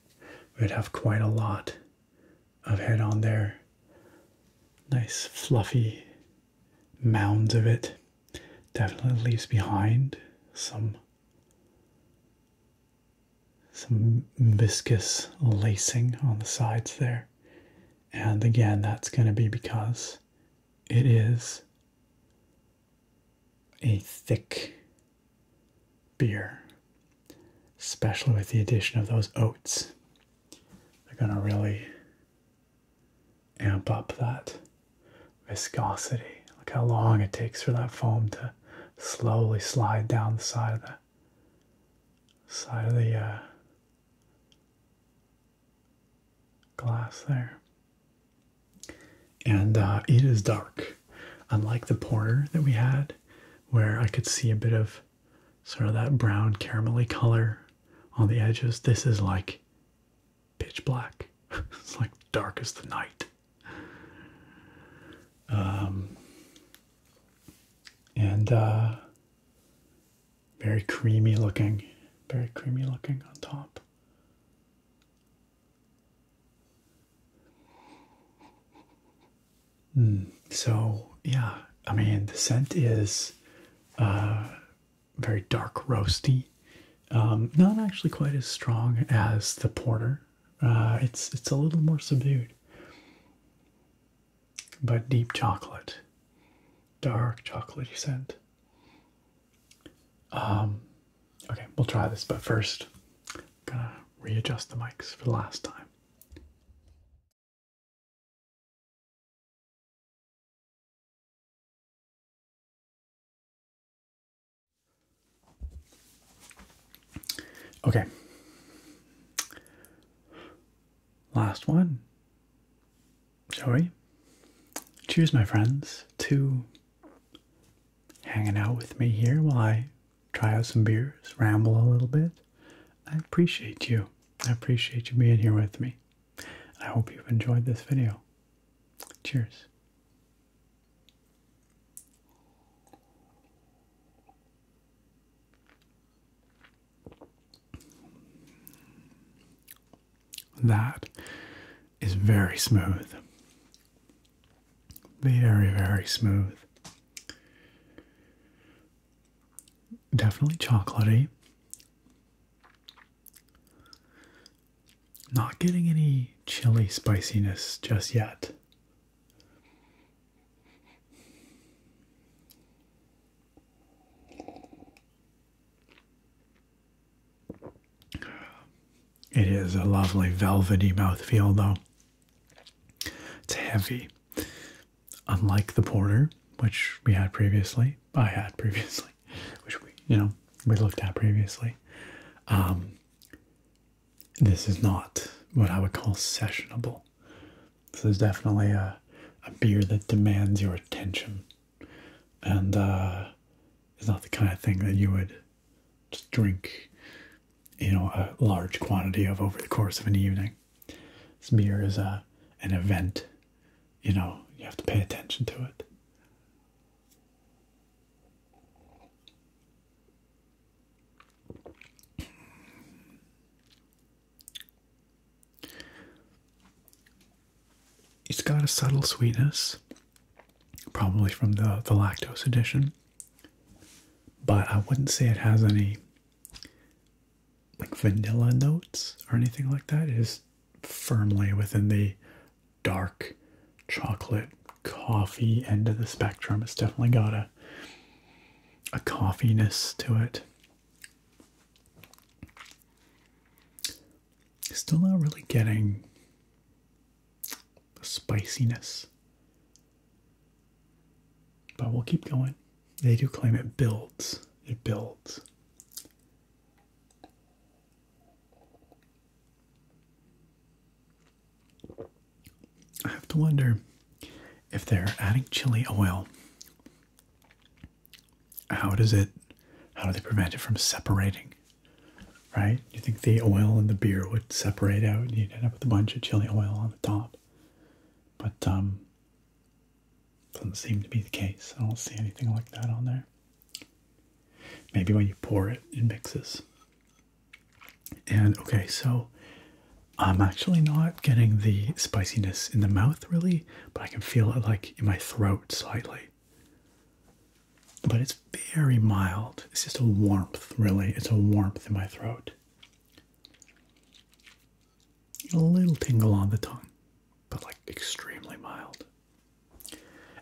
we'd have quite a lot of head on there. Nice, fluffy mounds of it definitely leaves behind some some viscous lacing on the sides there. And again, that's going to be because it is a thick beer, especially with the addition of those oats. They're going to really amp up that viscosity. Look how long it takes for that foam to slowly slide down the side of the side of the uh, glass there. And uh, it is dark, unlike the porter that we had, where I could see a bit of sort of that brown caramelly color on the edges. This is like pitch black. it's like dark as the night. Um, and uh, very creamy looking, very creamy looking on top. Mm, so yeah, I mean the scent is uh, very dark roasty. Um, not actually quite as strong as the porter. Uh, it's it's a little more subdued, but deep chocolate, dark chocolatey scent. Um, okay, we'll try this, but first, I'm gonna readjust the mics for the last time. Okay. Last one. Shall we? Choose, my friends, to hanging out with me here while I try out some beers, ramble a little bit. I appreciate you. I appreciate you being here with me. I hope you've enjoyed this video. Cheers. That is very smooth. Very, very smooth. Definitely chocolatey. Not getting any chili spiciness just yet. It is a lovely velvety mouthfeel, though. It's heavy. Unlike the porter, which we had previously, I had previously, which we you know we looked at previously. Um, this is not what I would call sessionable. This is definitely a a beer that demands your attention, and uh, it's not the kind of thing that you would just drink, you know, a large quantity of over the course of an evening. This beer is a uh, an event you know, you have to pay attention to it. It's got a subtle sweetness, probably from the, the lactose addition, but I wouldn't say it has any like vanilla notes or anything like that. It is firmly within the dark chocolate coffee end of the spectrum. It's definitely got a a coffiness to it. Still not really getting the spiciness. But we'll keep going. They do claim it builds. It builds. I have to wonder if they're adding chili oil. How does it, how do they prevent it from separating? Right? You think the oil and the beer would separate out and you'd end up with a bunch of chili oil on the top. But, um, doesn't seem to be the case. I don't see anything like that on there. Maybe when you pour it, it mixes. And okay, so I'm actually not getting the spiciness in the mouth really, but I can feel it like in my throat slightly. But it's very mild. It's just a warmth, really. It's a warmth in my throat. A little tingle on the tongue, but like extremely mild.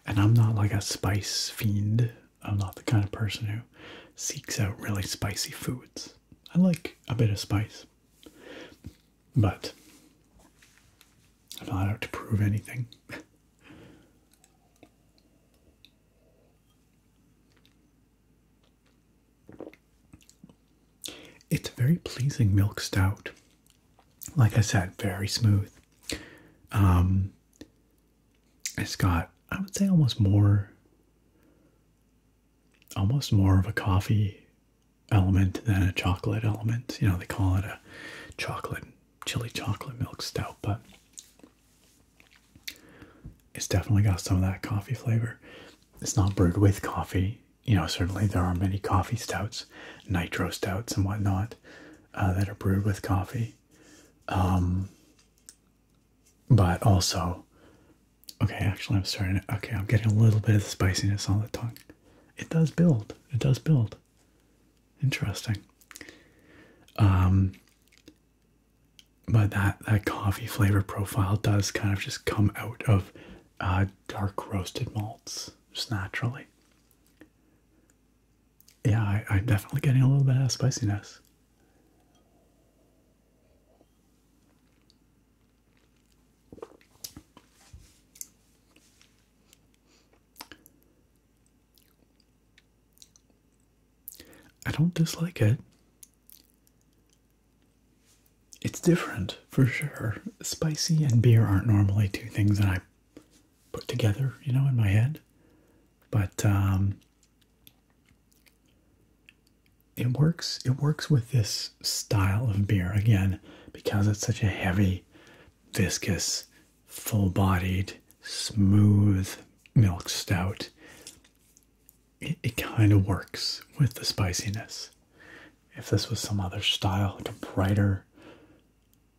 And I'm not like a spice fiend. I'm not the kind of person who seeks out really spicy foods. I like a bit of spice. But I'm not out to prove anything. it's a very pleasing milk stout like I said, very smooth. Um, it's got, I would say, almost more, almost more of a coffee element than a chocolate element. You know, they call it a chocolate, chili chocolate milk stout, but it's definitely got some of that coffee flavor. It's not brewed with coffee. You know, certainly there are many coffee stouts, nitro stouts, and whatnot uh, that are brewed with coffee. Um, but also, okay, actually, I'm starting. okay, I'm getting a little bit of the spiciness on the tongue. It does build. It does build. Interesting. Um, but that that coffee flavor profile does kind of just come out of uh, dark roasted malts just naturally yeah, I, am definitely getting a little bit of spiciness. I don't dislike it. It's different for sure. Spicy and beer aren't normally two things that I put together, you know, in my head. But um, it works. It works with this style of beer again because it's such a heavy, viscous, full-bodied, smooth milk stout. It, it kind of works with the spiciness. If this was some other style, like a brighter,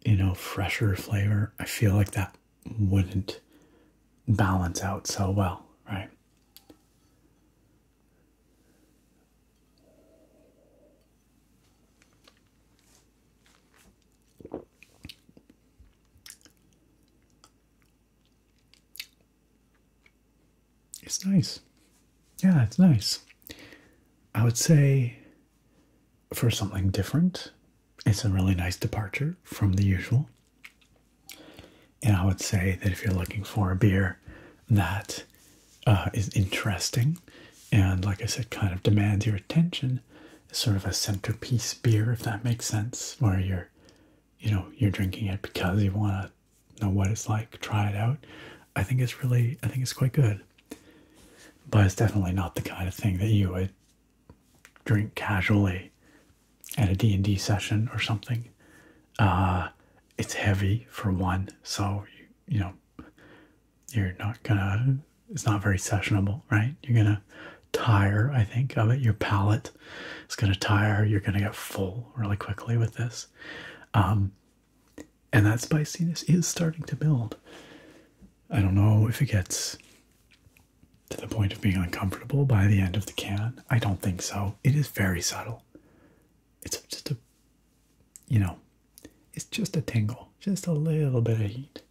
you know, fresher flavor, I feel like that wouldn't balance out so well, right? It's nice. Yeah, it's nice. I would say for something different. It's a really nice departure from the usual. And I would say that if you're looking for a beer that uh, is interesting and, like I said, kind of demands your attention, sort of a centerpiece beer, if that makes sense, where you're, you know, you're drinking it because you want to know what it's like, try it out. I think it's really, I think it's quite good. But it's definitely not the kind of thing that you would drink casually at a D&D session or something. Uh, it's heavy for one, so you, know you're not gonna. It's not very sessionable, right? You're gonna tire, I think, of it. Your palate is gonna tire. You're gonna get full really quickly with this. Um, and that spiciness is starting to build. I don't know if it gets to the point of being uncomfortable by the end of the can. I don't think so. It is very subtle. It's just a, you know, it's just a tingle, just a little bit of heat.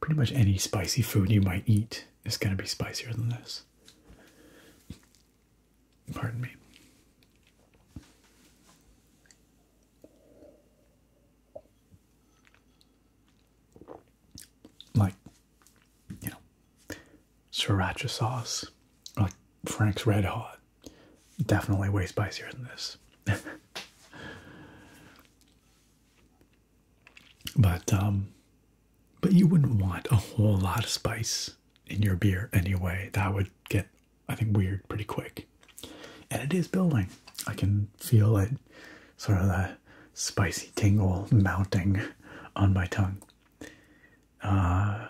Pretty much any spicy food you might eat is going to be spicier than this. Pardon me like you know sriracha sauce like frank's red hot definitely way spicier than this but um but you wouldn't want a whole lot of spice in your beer anyway that would get I think, weird pretty quick. And it is building. I can feel it sort of that spicy tingle mounting on my tongue. Uh,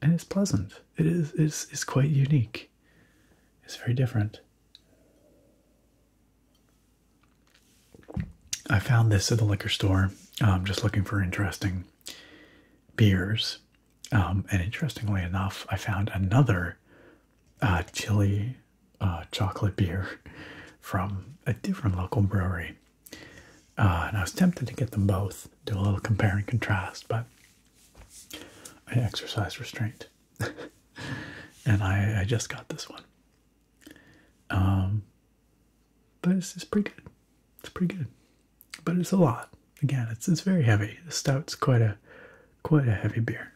and it's pleasant. It is it's, it's quite unique. It's very different. I found this at the liquor store. I'm just looking for interesting beers, um, and interestingly enough, I found another uh, chili uh, chocolate beer from a different local brewery. Uh, and I was tempted to get them both, do a little compare and contrast, but I exercised restraint. and I, just got this one. Um, but it's, it's pretty good. It's pretty good but it's a lot. Again, it's it's very heavy. The stout's quite a quite a heavy beer.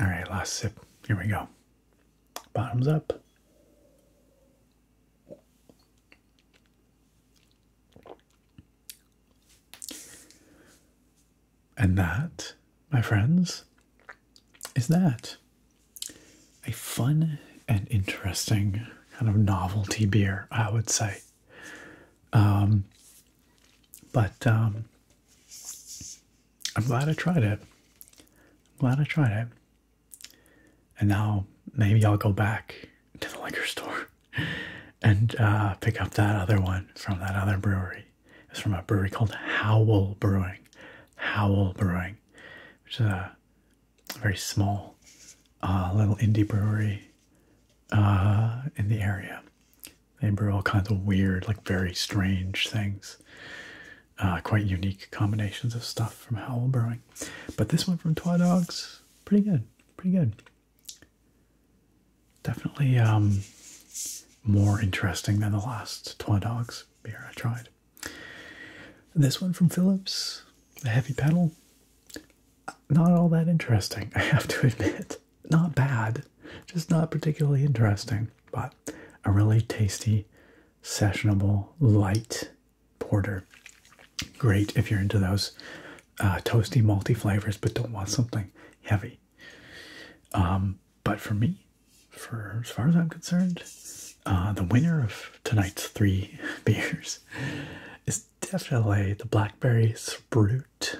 All right, last sip. Here we go. Bottoms up. And that, my friends, is that a fun and interesting kind of novelty beer, I would say. Um, but um, I'm glad I tried it. I'm glad I tried it. And now maybe I'll go back to the liquor store and uh, pick up that other one from that other brewery. It's from a brewery called Howell Brewing. Howell Brewing which is a very small uh, little indie brewery uh, in the area. They brew all kinds of weird, like very strange things, uh, quite unique combinations of stuff from hell Brewing. But this one from Twa Dogs, pretty good, pretty good. Definitely um, more interesting than the last Twa Dogs beer I tried. This one from Phillips, the heavy pedal, not all that interesting, I have to admit. Not bad, just not particularly interesting, but a really tasty, sessionable, light porter. Great if you're into those uh, toasty, malty flavors, but don't want something heavy. Um, but for me, for as far as I'm concerned, uh, the winner of tonight's three beers is definitely the Blackberry Sprout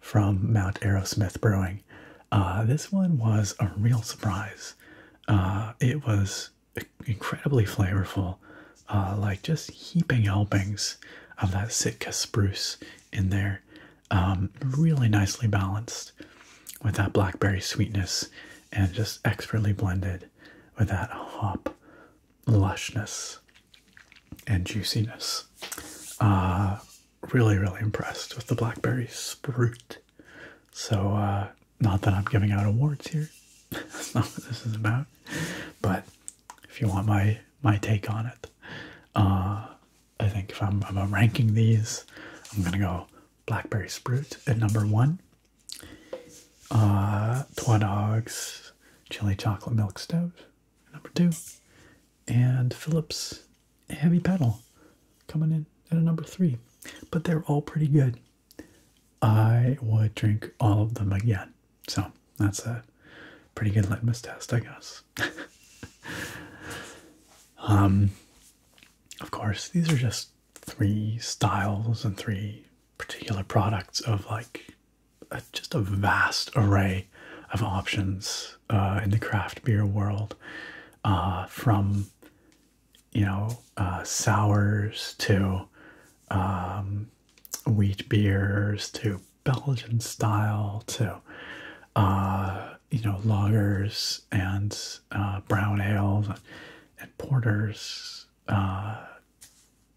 from Mount Aerosmith Brewing. Uh, this one was a real surprise. Uh, it was incredibly flavorful, like just heaping helpings of that Sitka spruce in there. Um, really nicely balanced with that blackberry sweetness and just expertly blended with that hop lushness and juiciness. Uh, really, really impressed with the blackberry sprout. So, uh, not that I'm giving out awards here. That's not what this is about. But if you want my my take on it, uh, I think if I'm, ranking these, I'm gonna go blackberry sprout at number one, uh, Twa Dogs Chili Chocolate Milk Stout, number two, and Phillips Heavy Pedal coming in at a number three. But they're all pretty good. I would drink all of them again. So that's a pretty good litmus test, I guess. um, of course, these are just three styles and three particular products of like just a vast array of options uh, in the craft beer world, uh, from you know uh, sours to um, wheat beers to Belgian style to uh, you know lagers and uh, brown ales and, porters, uh,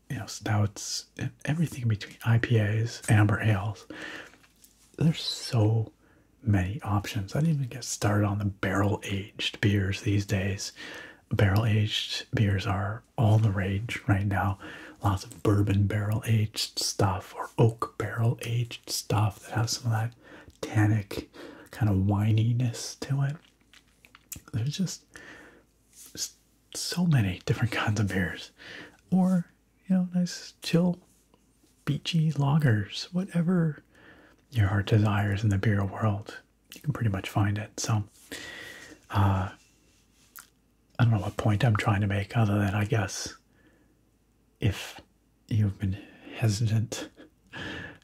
you know, stouts, and everything between, IPAs, amber ales. There's so many options. I didn't even get started on the barrel aged beers these days. Barrel aged beers are all the rage right now. Lots of bourbon barrel aged stuff or oak barrel aged stuff that has some of that tannic kind of wininess to it. There's just so many different kinds of beers, or you know, nice chill, beachy lagers, whatever your heart desires in the beer world, you can pretty much find it. So, uh, I don't know what point I'm trying to make, other than I guess if you've been hesitant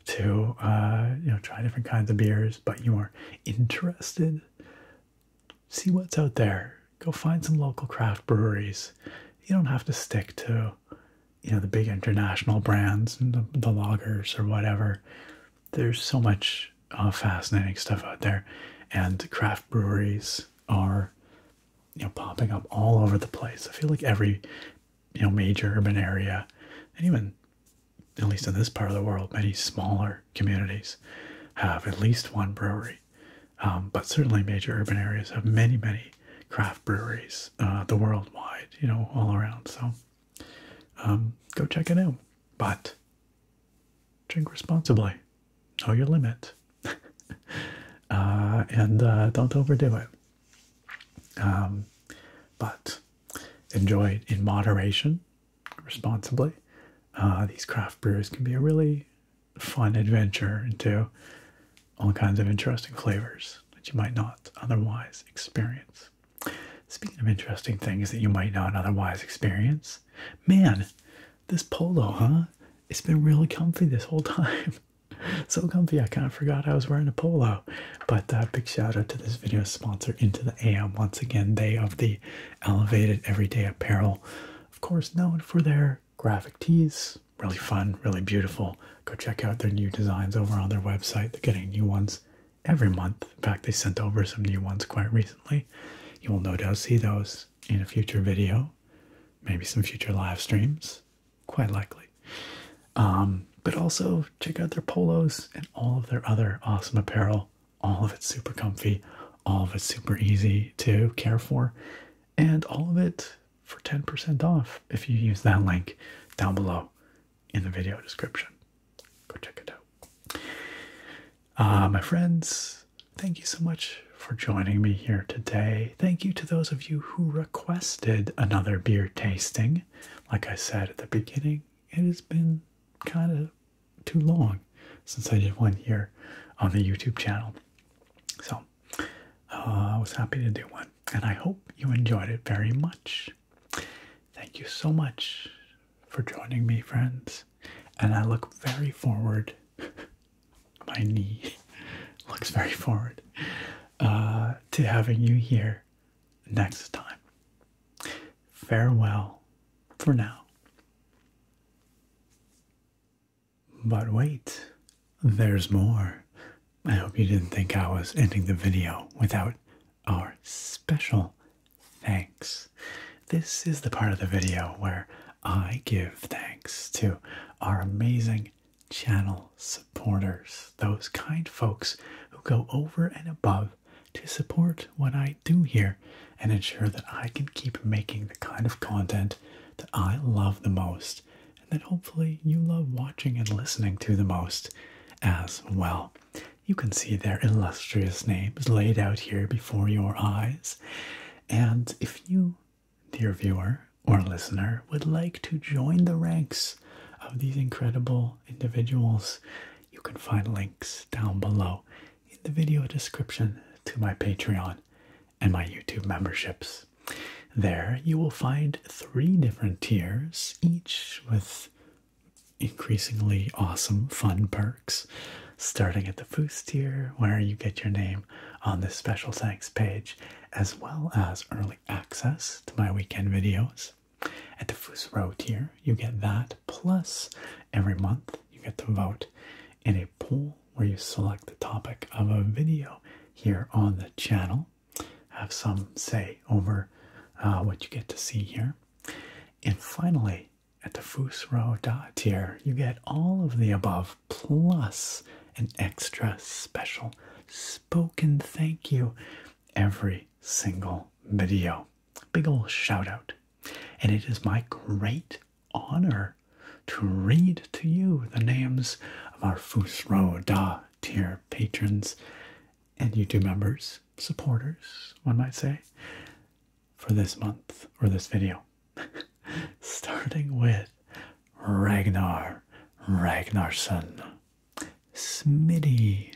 to uh, you know try different kinds of beers, but you are interested, see what's out there. Go find some local craft breweries. You don't have to stick to you know the big international brands and the, the loggers or whatever. There's so much uh, fascinating stuff out there, and craft breweries are you know popping up all over the place. I feel like every you know major urban area and even at least in this part of the world many smaller communities have at least one brewery um, but certainly major urban areas have many many craft breweries uh, the worldwide you know all around so um, go check it out but drink responsibly know your limit uh, and uh, don't overdo it um, but enjoy it in moderation, responsibly. Uh, these craft beers can be a really fun adventure into all kinds of interesting flavors that you might not otherwise experience. Speaking of interesting things that you might not otherwise experience, man, this polo, huh? It's been really comfy this whole time. so comfy, I kind of forgot I was wearing a polo. But uh, big shout out to this video sponsor, Into the AM. Once again, they of the Elevated Everyday Apparel, of course, known for their graphic tees. Really fun, really beautiful. Go check out their new designs over on their website. They're getting new ones every month. In fact, they sent over some new ones quite recently. You will no doubt see those in a future video, maybe some future live streams, quite likely. Um, but also check out their polos and all of their other awesome apparel. All of it super comfy, all of it super easy to care for, and all of it for 10% off if you use that link down below in the video description. Go check it out. Uh, my friends, thank you so much for joining me here today. Thank you to those of you who requested another beer tasting. Like I said at the beginning, it has been kind of too long since I did one here on the YouTube channel. So uh, I was happy to do one, and I hope you enjoyed it very much. Thank you so much for joining me, friends. And I look very forward. My knee looks very forward uh, to having you here next time. Farewell for now. But wait, there's more. I hope you didn't think I was ending the video without our special thanks. This is the part of the video where I give thanks to our amazing channel supporters, those kind folks who go over and above to support what I do here and ensure that I can keep making the kind of content that I love the most and that hopefully you love watching and listening to the most as well. You can see their illustrious names laid out here before your eyes. And if you, dear viewer or listener, would like to join the ranks of these incredible individuals, you can find links down below in the video description to my Patreon and my YouTube memberships. There you will find three different tiers, each with increasingly awesome fun perks, starting at the first tier, where you get your name on the special thanks page, as well as early access to my weekend videos at the first row tier, you get that, plus every month you get to vote in a poll where you select the topic of a video here on the channel. Have some say over uh, what you get to see here. And finally, at the Fusro Da tier, you get all of the above plus an extra special spoken thank you every single video. Big ol' shout out. And it is my great honor to read to you the names of our Fusro Da tier patrons and YouTube members, supporters, one might say, for this month or this video. Starting with Ragnar Ragnarsson, Smitty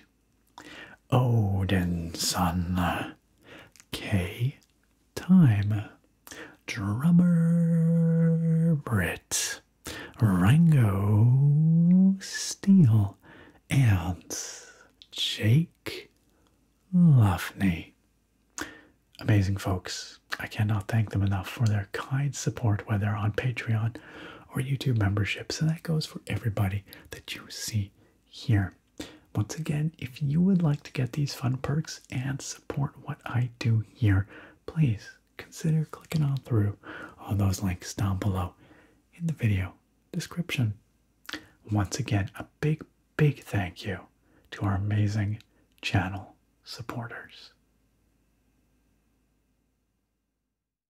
Odinson. K. Time. Drummer Brit. Rango Steel, And Jake Luffney. Amazing folks. I cannot thank them enough for their kind support, whether on Patreon or YouTube memberships. So that goes for everybody that you see here. Once again, if you would like to get these fun perks and support what I do here, please consider clicking on through all those links down below in the video description. Once again, a big, big thank you to our amazing channel supporters.